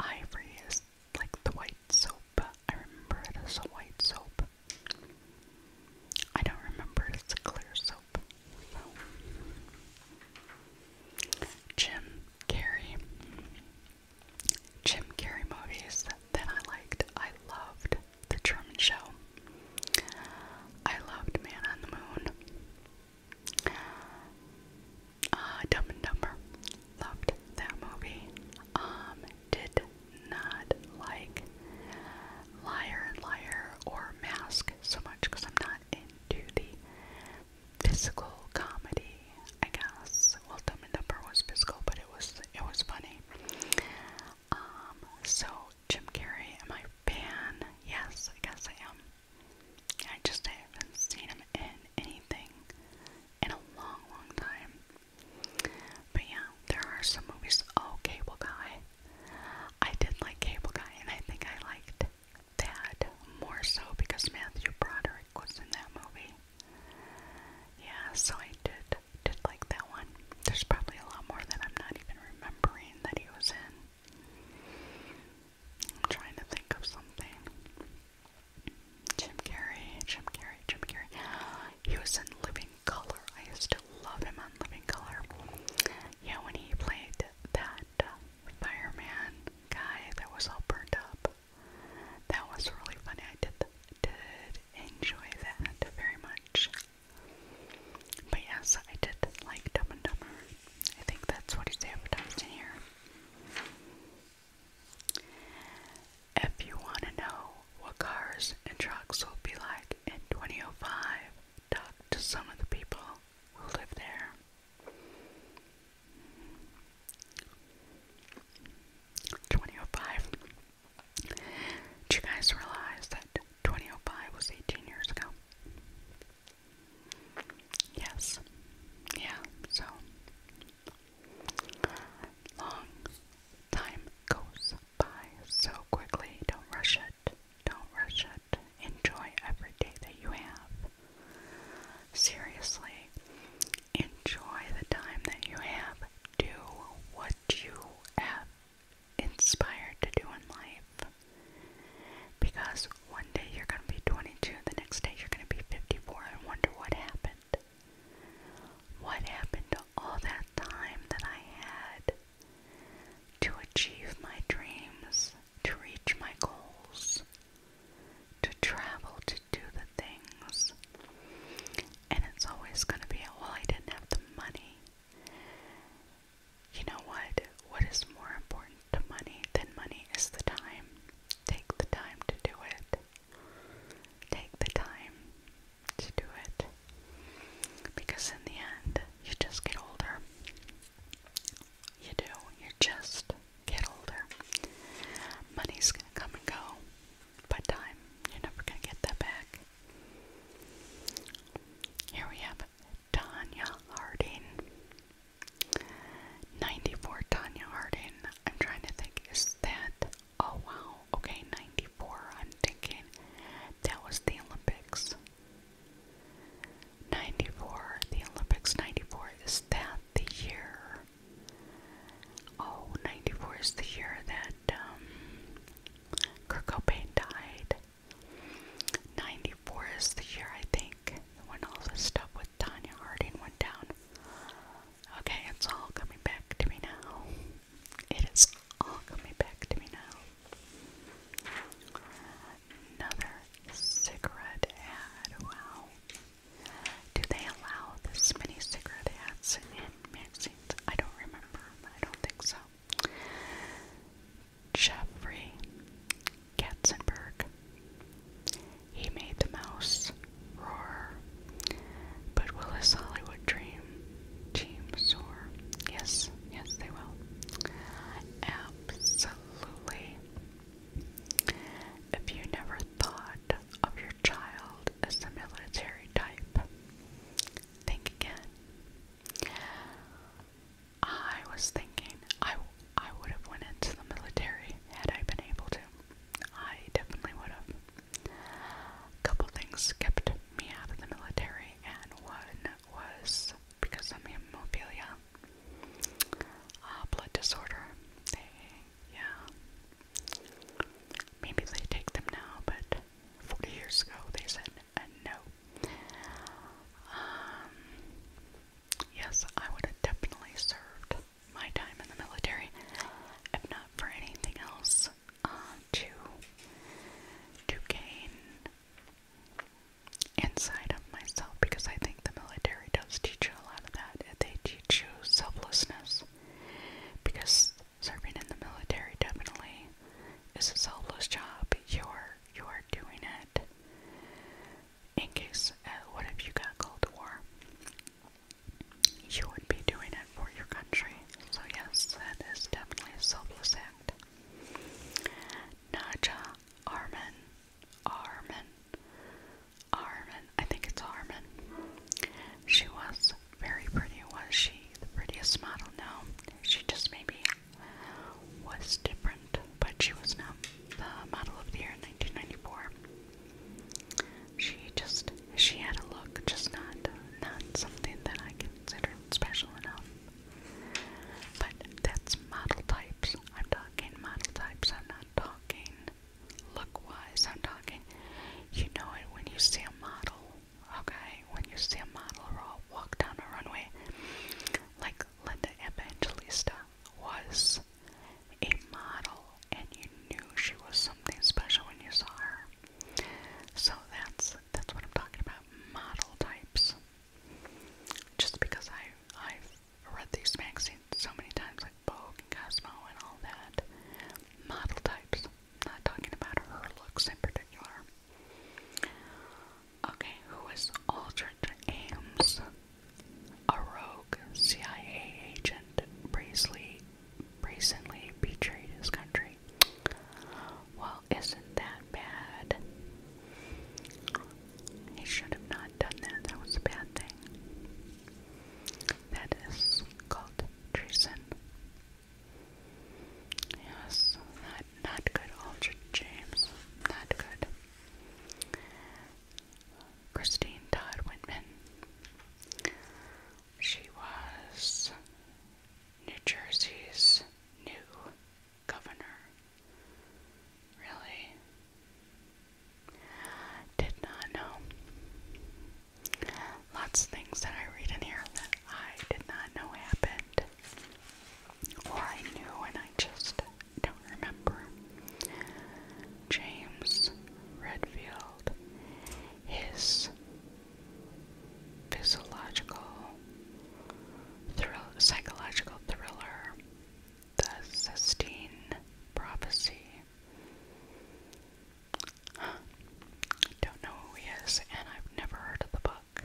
ivory is like the white soap. I remember it as a white soap. I don't remember it's a clear soap. Jim Carrey. Jim Carrey movies that I liked. I loved The Truman Show. I loved Man on the Moon. Uh, Dumb and Dumber. Loved that movie. Um, did not like Liar Liar or Mask so much because I'm not into the physical comedy, I guess. Well, Dumb and Dumber was physical, but it was it was funny. Um, so Jim Carrey, am I a fan? Yes, I guess I am. I just haven't seen him in anything in a long, long time. But yeah, there are some movies. Oh, Cable Guy. I did like Cable Guy, and I think I liked that more so because Matthew Broderick was in that movie. Yeah, so I did did like that one. There's probably a lot more that I'm not even remembering that he was in. I'm trying to think of something. Jim Carrey, Jim Carrey, Jim Carrey. He was in Living Color. I used to love him on Living Color. Yeah, when he played that uh, fireman guy that was all burnt up. That was really funny. I did, did enjoy that very much. But yes, I did like Dumb and Dumber. I think that's what he's advertised in here. If you want to know what cars and trucks will be like in 2005, talk to some of the people who live there. Twenty oh five. Do you guys realize that twenty oh five was eighteen years ago? Yes. Yeah, so long time goes by so quickly. Don't rush it. Don't rush it. Enjoy every day that you have. Seriously, enjoy the time that you have. Do what you have inspired to do in life. Because one day you're going to be 22, the next day you're going to be 54, and wonder what happened. What happened to all that time that I had to achieve my dreams, to reach my goals, to travel, to do the things? And it's always going to be, well, I didn't have the money. You know what? What is more important to money than money is the time. Take the time to do it. Take the time to do it because in the end you just get older. You do. You just get older. Money's gonna come and go. but time, you're never gonna get that back. Here we have Tanya Harding. 94 Tanya Harding. I'm trying to think, is that Oh wow, okay, 94. I'm thinking that was the Olympics. 94, the Olympics 94, is that the year? Oh, 94 is the year that um, Kurt died. 94 is the year, I think, when all this stuff with Tanya Harding went down. Okay, it's all coming back to me now. It is all coming back to me now. Another cigarette ad. Wow. Do they allow this many cigarette ads in magazines? I don't remember. I don't think so. Jeffrey Katzenberg. He made the mouse roar, but will his Hollywood dream Team Soar. Yes, yes, they will. Absolutely. If you never thought of your child as a military type, think again. I was thinking I, I would have went into the military had I been able to. I definitely would have. A couple things kept me out of the military, and one was because of hemophilia, uh, blood disorder. yeah, maybe they take them now, but 40 years ago they said uh, no. Um, yes, I would have definitely served my time in the military, if not for anything else uh, to to gain inside of myself because I think the military does teach you a lot of that. They teach you selflessness because serving in the military definitely is a selfless job. You're you're doing it in case uh, what if you got called to war? You would be doing it for your country. So yes, that is definitely a selfless act. Naja Armin, Armin, Armin, I think it's Armin. She was very pretty, was she? The prettiest model? No, she just maybe was different, but she was not the model of the year in 1994. She just she had a look, just not not something that I consider special enough. But that's model types. I'm talking model types. I'm not talking look-wise. I'm talking. You know it when you see a model. Okay, when you see a model walk down a runway, like Linda Evangelista was a model, and you knew she was something special when you saw her. So that's that's what I'm talking about. Model types. Just because I I've read these magazines so many times, like Vogue and Cosmo and all that. Model types. I'm not talking about her looks in particular. Okay, who is Aldrich Ames? A rogue CIA agent, Priestley recently betrayed his country. Well, isn't that bad? He should have not done that. That was a bad thing. That is called treason. Yes, not, not good, Aldrich James. Not good. Christine Todd Whitman. She was New Jersey's new governor really did not know. Lots of things that I read in here that I did not know happened, or I knew and I just don't remember. James Redfield, his physiological, psychological thriller, The Sistine Prophecy. Don't know who he is, and I've never heard of the book.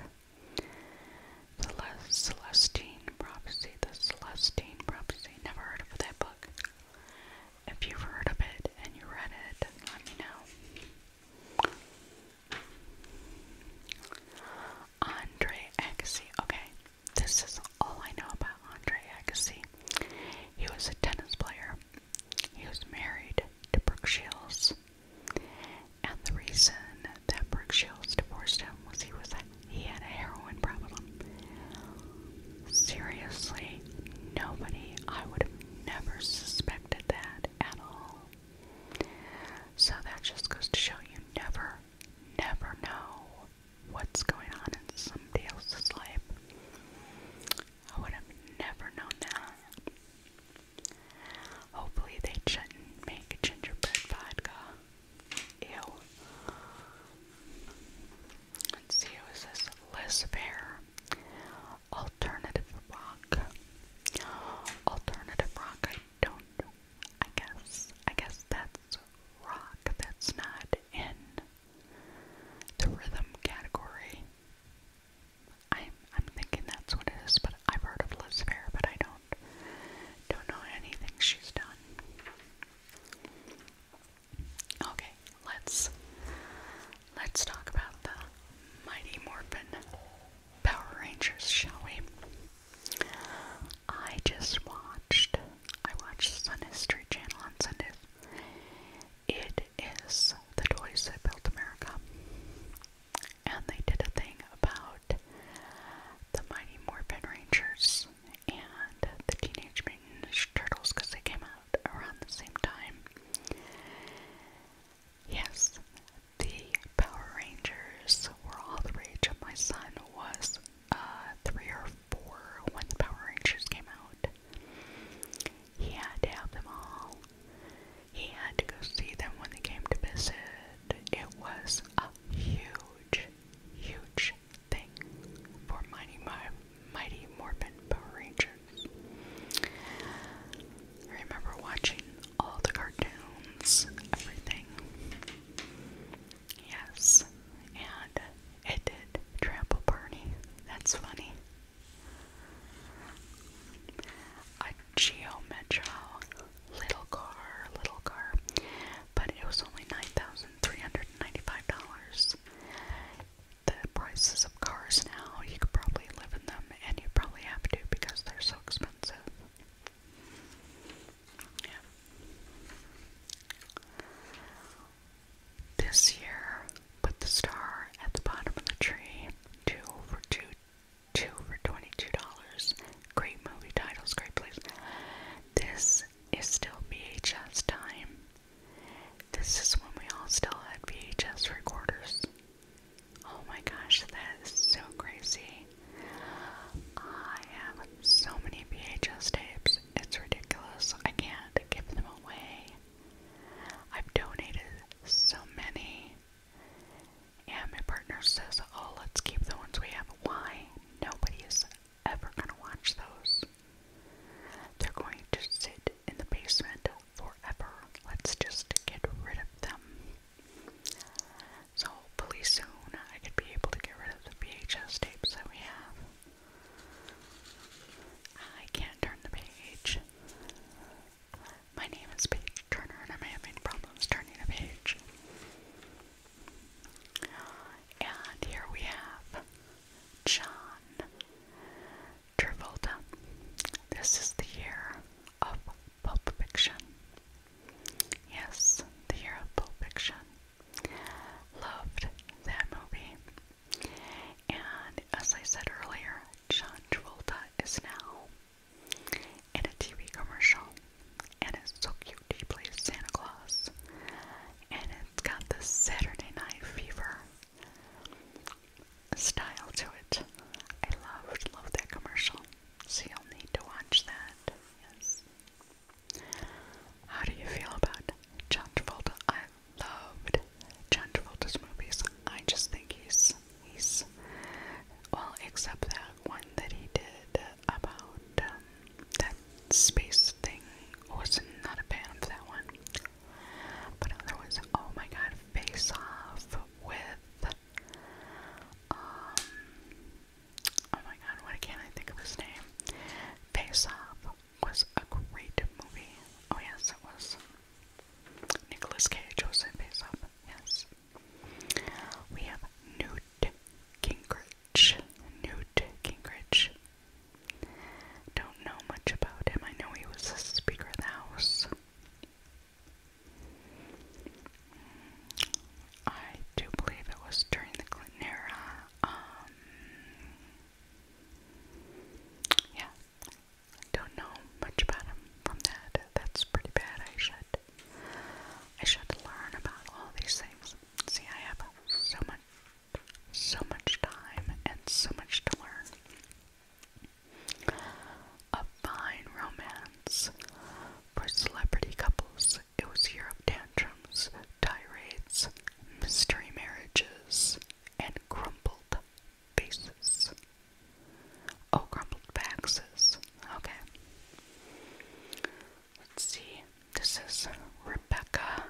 The Les Prophecy, The Celestine Prophecy. Never heard of that book. If you've heard of it and you read it, let me know. Andre Agassi. Okay, this is all I know about Andre Agassi. He was a tennis player. He was married to Brooke Shields. And the reason that Brooke Shields divorced him was he was he had a heroin problem. Seriously, nobody I would have never suspected that at all. So that just goes to show you never, never know what's going on in somebody else's life. I would have never known that. Hopefully they shouldn't make gingerbread vodka. Ew. Let's see, who is this? Liz Fair alternative rock. Alternative rock, I don't I guess I guess that's rock that's not in the rhythm category. I'm I'm thinking that's what it is, but I've heard of Liz Fair, but I don't don't know anything she's done. Okay, let's Let's talk about the Mighty Morphin Power Rangers, shall we? I just watched, I watched the History Channel on Sunday. It is the toys that built America. And they did a thing about the Mighty Morphin Rangers and the Teenage Mutant Ninja Turtles because they came out around the same time. Yes, the Power Rangers were all the rage. My son was uh, three or four when the Power Rangers came out. He had to have them all. He had to go see them when they came to visit. It was a huge, huge thing for Mighty, Mighty Morphin Power Rangers. I remember watching all the cartoons, everything. Yes, and it did trample Barney. That's funny. A Geo Metro little car, little car, but it was only $9,395. The prices cars now. You could probably live in them, and you probably have to because they're so expensive. Yeah. This year, put the star at the bottom of the tree. Two for two, two for twenty-two dollars. Great movie titles, great place. This is still VHS time. This is when we all still had VHS recorders. Oh my gosh, that is so crazy. I have so many VHS tapes. It's ridiculous. I can't give them away. I've donated so many. And my partner says, Oh, let's keep the ones we have. Why? Nobody is ever going to watch those. They're going to sit in the basement forever. Let's just get rid of them. So hopefully soon I could be able to get rid of the VHS tapes that we have. I can't turn the page. My name is Paige Turner and I'm having problems turning a page. And here we have John. Travolta. This is the year of Pulp Fiction. Yes, the year of Pulp Fiction. Loved that movie. And as I said earlier, John Travolta is now in a TV commercial. And it's so cute. He plays Santa Claus. And it's got the Saturday night fever style to it. I love, love that commercial. So you'll need to watch that. Yes. How do you feel about John Travolta? I loved John Travolta's movies. I just think he's he's well, except that one that he did about um, that space thing. Wasn't not a fan of that one. But otherwise, oh my god, face off with um, oh my god, why can I think of his name? Face Off was a great movie. Oh yes, it was. Nicholas Cage was in Face Off. Yes. We have Newt Gingrich. Newt Gingrich. Don't know much about him. I know he was the Speaker of the House. I do believe it was during the Clinton era. Um, yeah, don't know much about him from that. That's pretty bad. I should, I should learn about all these things. See, I have so much, so much time and so much to learn. A fine romance for celebrity couples. It was a year of tantrums, tirades, mystery marriages, and crumpled faces. Oh, crumpled faxes. Okay. Let's see. This is Rebecca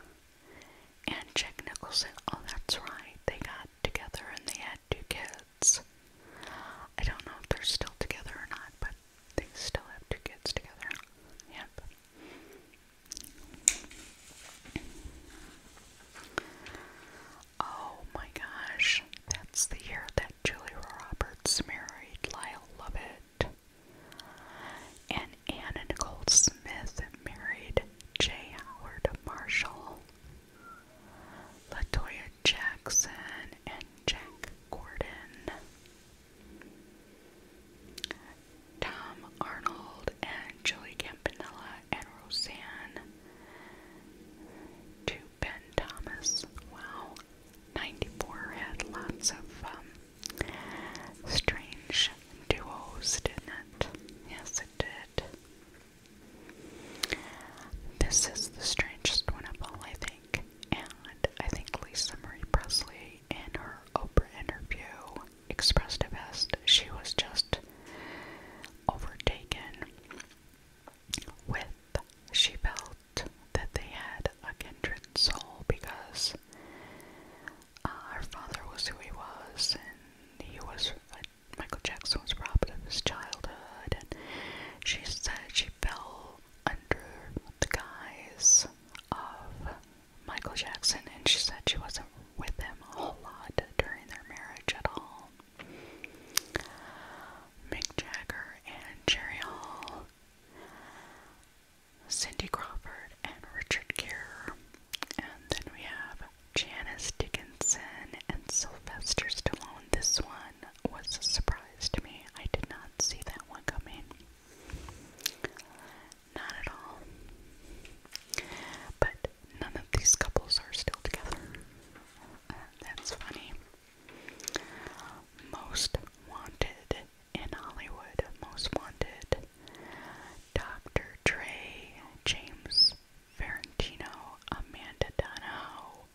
and Jack Nicholson. Oh, that's right. They got together and they had two kids. I don't know if they're still together or not, but they still have two kids together. Yep. Oh my gosh, that's the year that Julia Roberts married Lyle Lovett. And Anna Nicole Smith married J. Howard Marshall. Latoya Jackson and Jack Gordon. Tom Arnold and Joey Campanella and Roseanne. To Ben Thomas. Wow. 94 had lots of um, strange duos, didn't it? Yes, it did. This is the strangest one of all, I think. And I think Lisa Marie Presley, in her Oprah interview, expressed it best. She was just overtaken with, she felt that they had a kindred soul because uh, her father was who he was and he was Michael Jackson was robbed of his childhood, and she said she fell under the guise of Michael Jackson, and she said she wasn't with him a whole lot during their marriage at all. Mick Jagger and Jerry Hall, Cindy Crawford and Richard Gere, and then we have Janice Dickinson and Sylvester Stallone. This one was a surprise to me. I did not see that one coming. Not at all. But none of these couples are still together. that's funny. Most wanted in Hollywood. Most wanted. Dr. Dre, James Ferentino, Amanda Donohoe.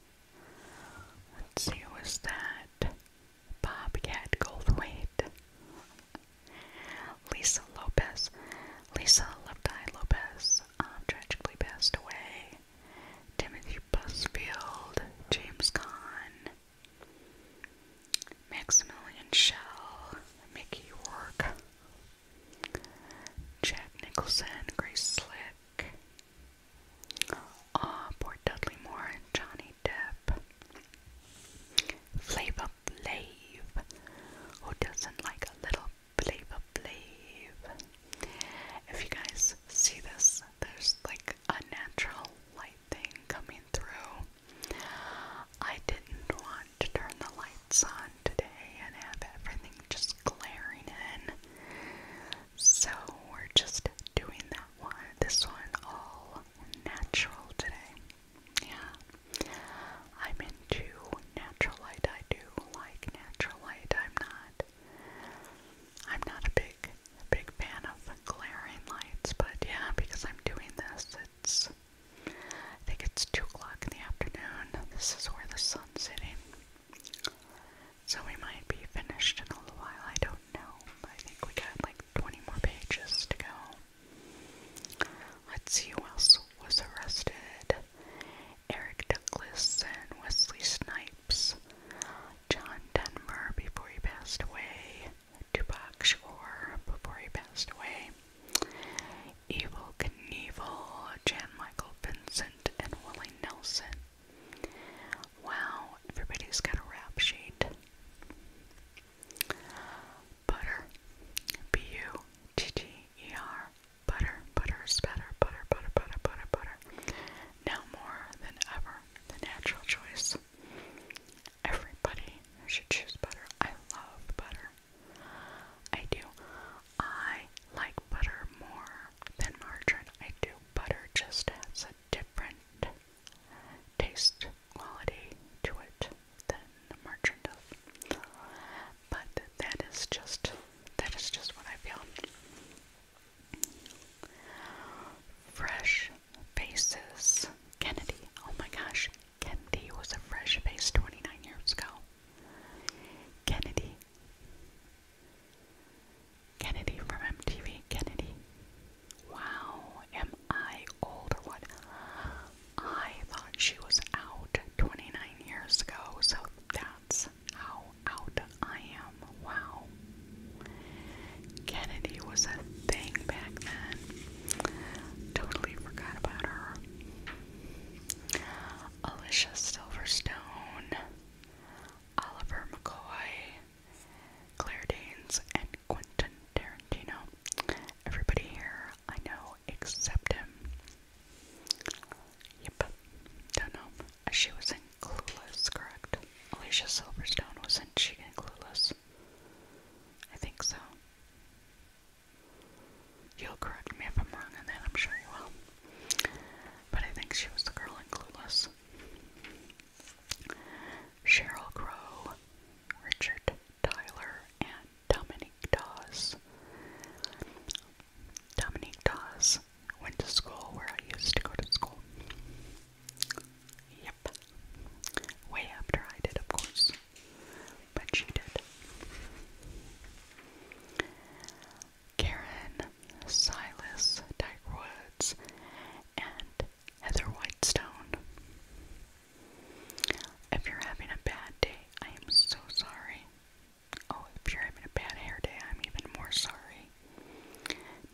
Let's see, who was that? Bobcat Goldthwait. Lisa Lopez. Lisa Left Eye Lopez um, tragically passed away. Timothy Busfield, James Caan, Maximilian Schell, Mickey Rourke, Jack Nicholson, Grace Slick, Ah, oh, Dudley Moore and Johnny Depp. Flavor Flav. Who doesn't like a little Flavor Flav? If you guys see this, there's like a natural light thing coming through. I didn't want to turn the lights on on today and have everything just glaring in. So we're just doing that one, this one all natural today. Yeah. I'm into natural light. I do like natural light. I'm not I'm not a big big fan of glaring lights, but yeah, because I'm doing this, it's I think it's two o'clock in the afternoon. This is where the sun's sitting. So we might be finished in a little while, I don't know. I think we got like 20 more pages to go. Let's see who else was arrested. Eric Douglas and Wesley Snipes. John Denver before he passed away. Tupac Shakur before he passed away. Evil Knievel, Jan Michael Vincent and Willie Nelson. Wow, everybody's got a rap sheet. Butter. B U T T E R. Butter, butter is better, butter, butter, butter, butter, butter. Now more than ever, the natural choice. Everybody should choose butter. I love butter. I do. I like butter more than margarine. I do butter just has a different taste quality to it than margarine does. But that is just that is just what I feel. Fresh faces. Kennedy. Oh my gosh. Kennedy was a fresh face 29 years ago. Kennedy. Kennedy from MTV. Kennedy. Wow, am I old or what? I thought she was out 29 years ago, so that's how out I am. Wow. Kennedy was a thing back then. Totally forgot about her. Alicia Silverstone. Oliver McCoy, Claire Danes, and Quentin Tarantino. Everybody here I know except him. Yep, don't know. She was in Clueless, correct? Alicia Silverstone was in she in Clueless? I think so. You'll correct me if I'm wrong, and then I'm sure you will. But I think she was the girl in Clueless. Cheryl Crow, Richard Tyler, and Dominique Dawes. Dominique Dawes went to school where I used to go to school. Yep. Way after I did, of course. But she did. Karen Silas Dyke Woods, and Heather Whitestone. If you're having a bad day, I am so sorry. Oh, if you're having a bad hair day, I'm even more sorry.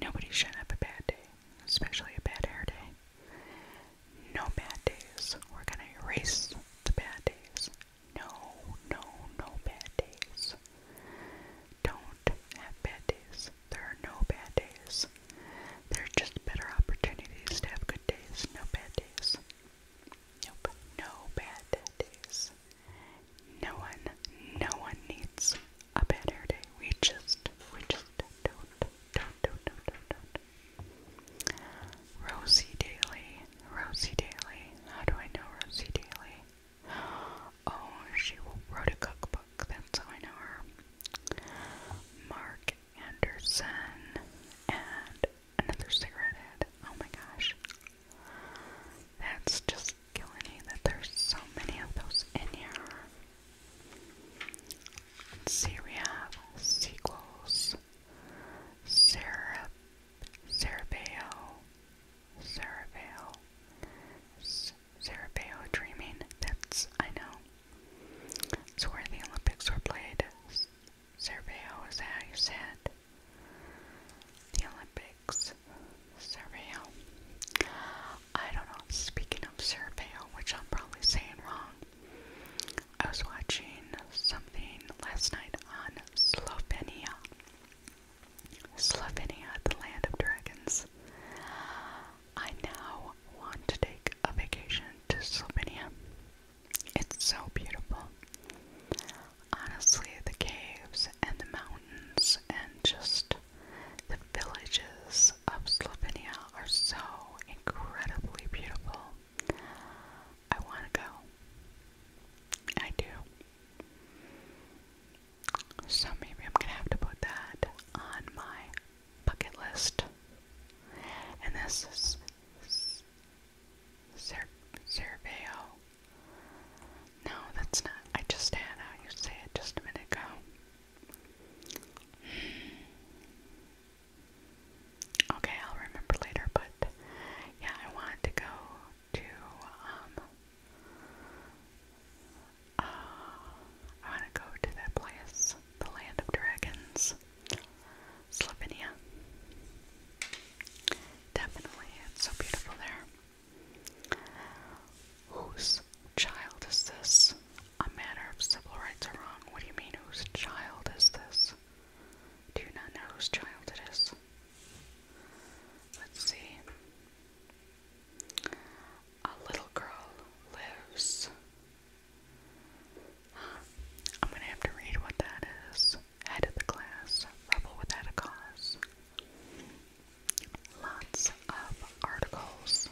Nobody should have a bad day, especially a bad hair day. No bad days. We're going to erase the bad days no, no, no bad days. Don't have bad days. There are no bad days. There are just better opportunities to have good days. No bad days. Nope. No bad days. No one, no one needs a bad hair day. We just, we just don't, don't, don't, don't, don't. Rosie Daly, Rosie Daly. How do I know Rosie Daly? Oh, she wrote a cookbook. That's how I know her. Mark Anderson and another cigarette head. Oh my gosh. That's just killing me that there's so many of those in here. let sequels, syrup, Cerebeo, Cerebeo, Cerebeo dreaming. That's, I know. It's where the Olympics were played. Cerebeo, is that how you said? The Olympics. Cerebeo. I don't know. Speaking of Cerebeo, which I'm probably saying wrong, I was watching something last night on Slovenia. Slovenia, the land of dragons. I now want to take a vacation to Slovenia. It's so beautiful. Honestly, the caves and the mountains and just the villages of Slovenia are so incredibly beautiful. I want to go. I do. So maybe I'm gonna have to put that on my bucket list. And this is Cer No, that's not. I just had how you say just a minute ago. Okay, I'll remember later, but yeah, I wanted to go to um uh, I want to go to that place, the Land of Dragons, Slovenia. Definitely, it's so beautiful there. Whose child is this? A matter of civil rights or wrong? What do you mean, whose child is this? Do you not know whose child it is? Let's see. A little girl lives. I'm gonna have to read what that is. Head of the class, rebel without a cause. Lots of articles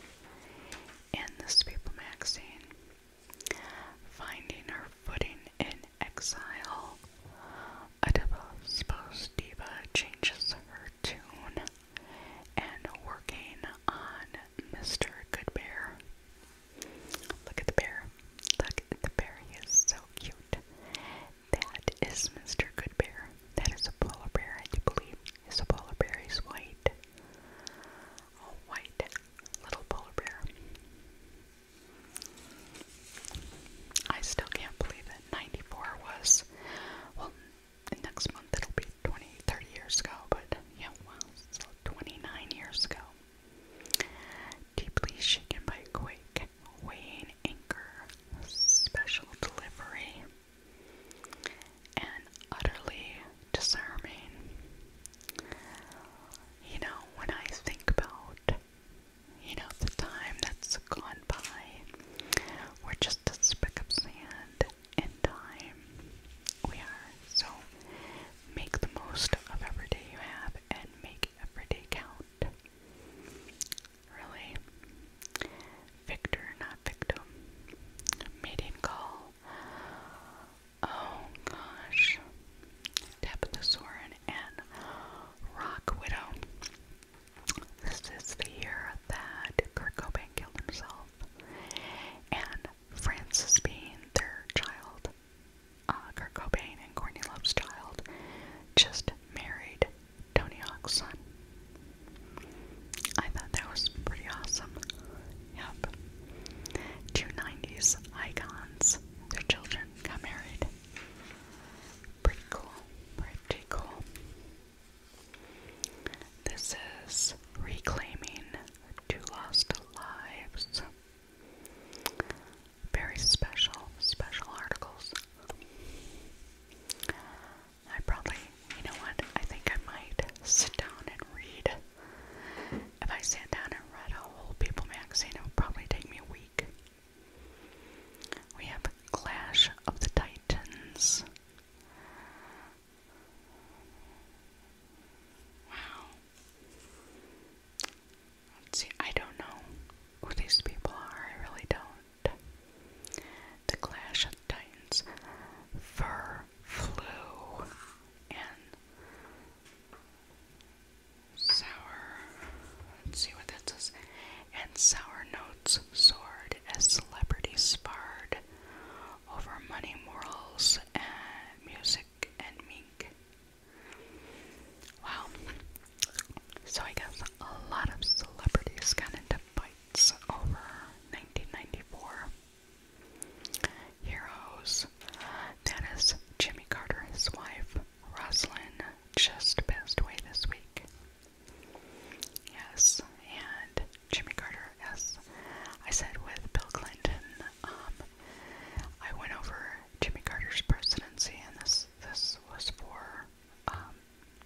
in this People magazine. Finding her footing in exile, I suppose Diva changes her tune and working on Mr. Good Bear. Look at the bear. Look at the bear. He is so cute. That is Mr. Good Bear. That is a polar bear, I do believe. It's a polar bear. He's white. all white little polar bear. I still can't believe that 94 was, well, next month it'll be 20, 30 years ago, but yeah, it's so 29 years ago. Deeply shaken by quake, weighing anchor, special delivery, and utterly disarming. You know, when I think about you know, the time that's gone by. We're just a speck of sand in time. We are. So make the most of every day you have and make every day count. Really? Victor, not victim. Mating call. Oh gosh. Tabitha and Rock Widow. This is the year that Kurt Cobain killed himself, and Frances being their child, uh, Kurt Cobain and Courtney Love's child, just married Tony Hawk's son. I thought that was pretty awesome. Yep. Two icons, their children got married. Pretty cool. Pretty cool. This is Reclaiming Two Lost Lives. Very special, special articles. I probably, you know what, I think I might sit down and read. If I sat down and read a whole People magazine, it would probably take me a week. We have Clash of the Titans. Wow. Let's see, I don't know who these people are, I really don't. The Clash of the Titans. Fur flew and sour. Let's see what that says and sour notes soared as celebrities sparred over money, morals, and music, and mink. Wow. So I guess a lot of celebrities got into fights over 1994. Heroes. That is Jimmy Carter, his wife, Rosalyn, just passed away this week. Yes, and Jimmy Carter, yes. I said with Bill Clinton, um, I went over Jimmy Carter's presidency, and this, this was for um,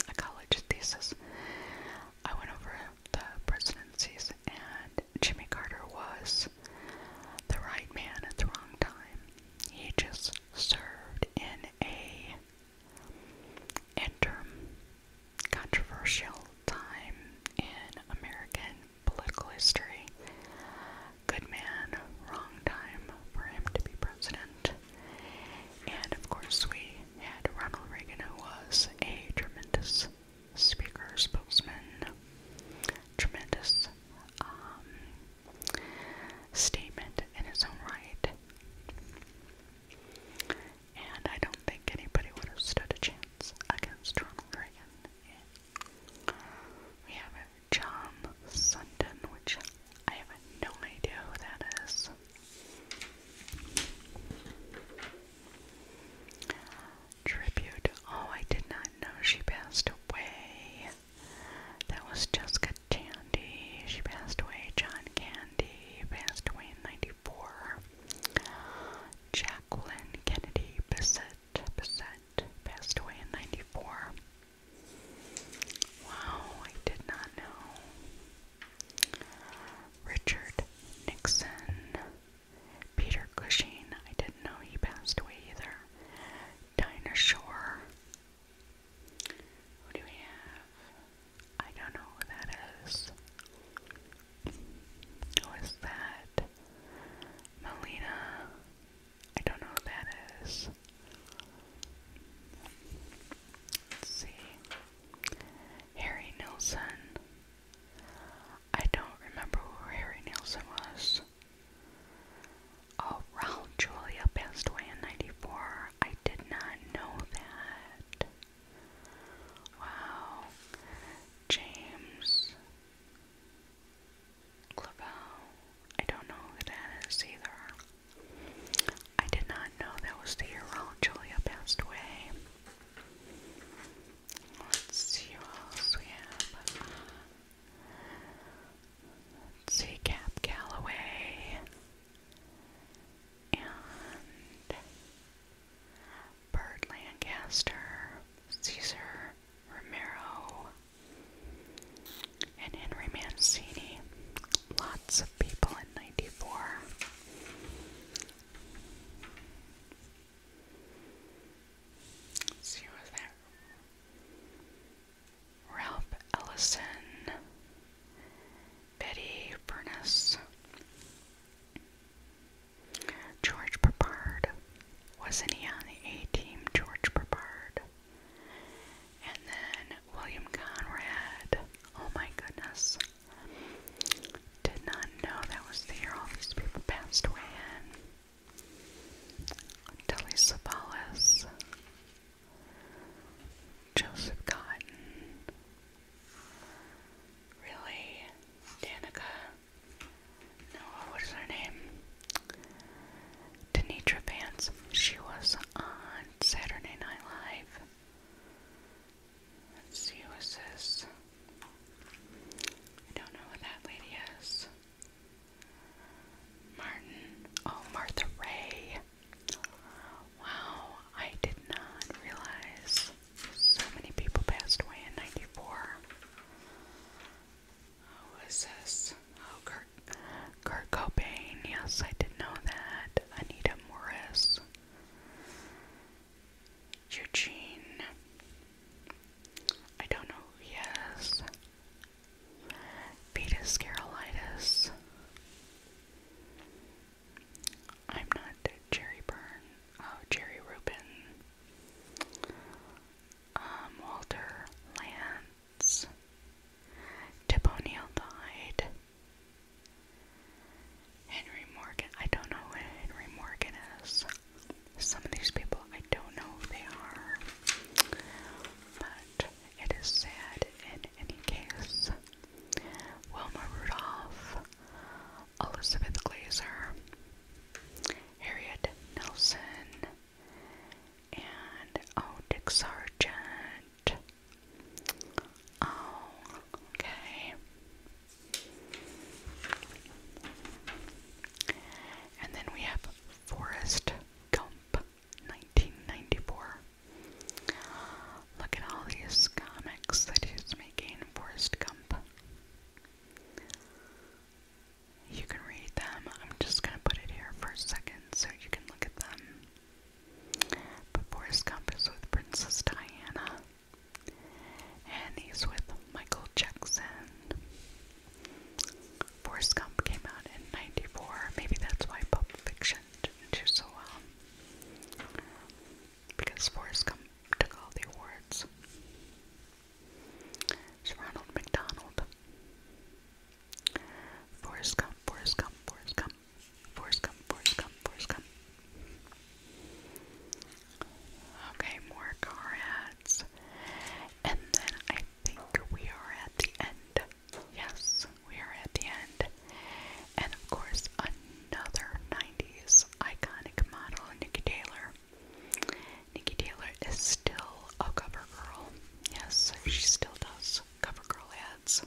a college thesis. I went over the presidencies, and Jimmy Carter was the right man at the wrong time. He just served in a interim time in American political history. Good man, wrong time for him to be president. And of course, we had Ronald Reagan, who was a tremendous speaker, spokesman, tremendous um, statement in his own right. And I don't think anybody would have stood a chance against Ronald We have John Sundin, which I have no idea who that is. Tribute. Oh, I did not know she passed away. That was Jessica Tandy. She passed away. John Candy passed away in 94. Jacqueline Kennedy Bissett, Bissett passed away in 94. Wow, I did not know. Richard Nixon. Peter Cushing, I didn't know he passed away either. Dinah Shore, who do we have? I don't know who that is. Who is that? Melina. I don't know who that see. Harry Nilsson. I don't remember who Harry Nilsson was around Julia passed away in 94. I did not know that. Wow. James Clavel. I don't know who that is either. I did not know that was the year around Julia passed away. Let's see what else we have. see, Cap Calloway and Bert Lancaster, Caesar Romero, and Henry Mancini. Lots of people in 94. see, was that Ralph Ellison, Betty Furness, George Papard. Wasn't he on the A team, George Papard? And then William Conrad. Oh my goodness. Did not know that was the year all these people passed away in. Telly Savalas, Joseph Cotton. Really? Danica? No, what her name? Denitra Vance. She was on Saturday Night Live. Let's see, this? I don't know what that lady is. Martin. Oh, Martha Ray. Wow, I did not realize so many people passed away in 94. Who is this? Oh, Kurt, Cobain. Yes, I did know that. Anita Morris. Eugene. I don't know who Betus Carolitis. I'm not Jerry Byrne. Oh, Jerry Rubin. Um, Walter Lance. Tip O'Neill died. Henry Morgan. I don't know who Henry Morgan is. Some of these people I don't know who they are. But it is sad in any case. Wilma Rudolph, Elizabeth Glazer, Harriet Nelson, and oh, Dick Sargent. Oh, okay. And then we have Forrest Gump. 1994. Look at all these comics that he's making, Forrest Gump. You can read them. I'm just going to put it here for a second so you can look at them. Forrest Gump is with Princess Diana. And he's with Michael Jackson. Forrest Gump came out in 94. Maybe that's why Pulp Fiction didn't do so well because Forrest Gump took all the awards. It's Ronald McDonald. Forrest Gump, Forrest Gump, Forrest Gump, Forrest Gump, Forrest Gump, Forrest Gump. Okay, more car ads. And then I think we are at the end Yes, we are at the end. And of course, another 90s iconic model, Nikki Taylor. Nikki Taylor is still a cover girl. Yes, she still does cover girl ads.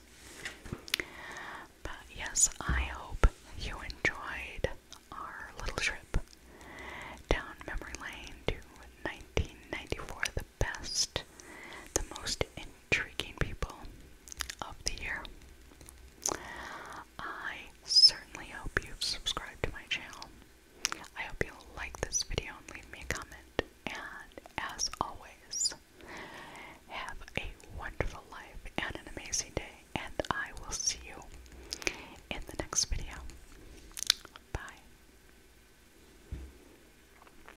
But yes, I hope you enjoyed our little trip down memory lane to 1994, best, the most intriguing people of the year. I certainly hope you've subscribed to my channel. I hope you like this video and leave me a comment. And as always, have a wonderful life and an amazing day. And I will see you in the next video. Bye.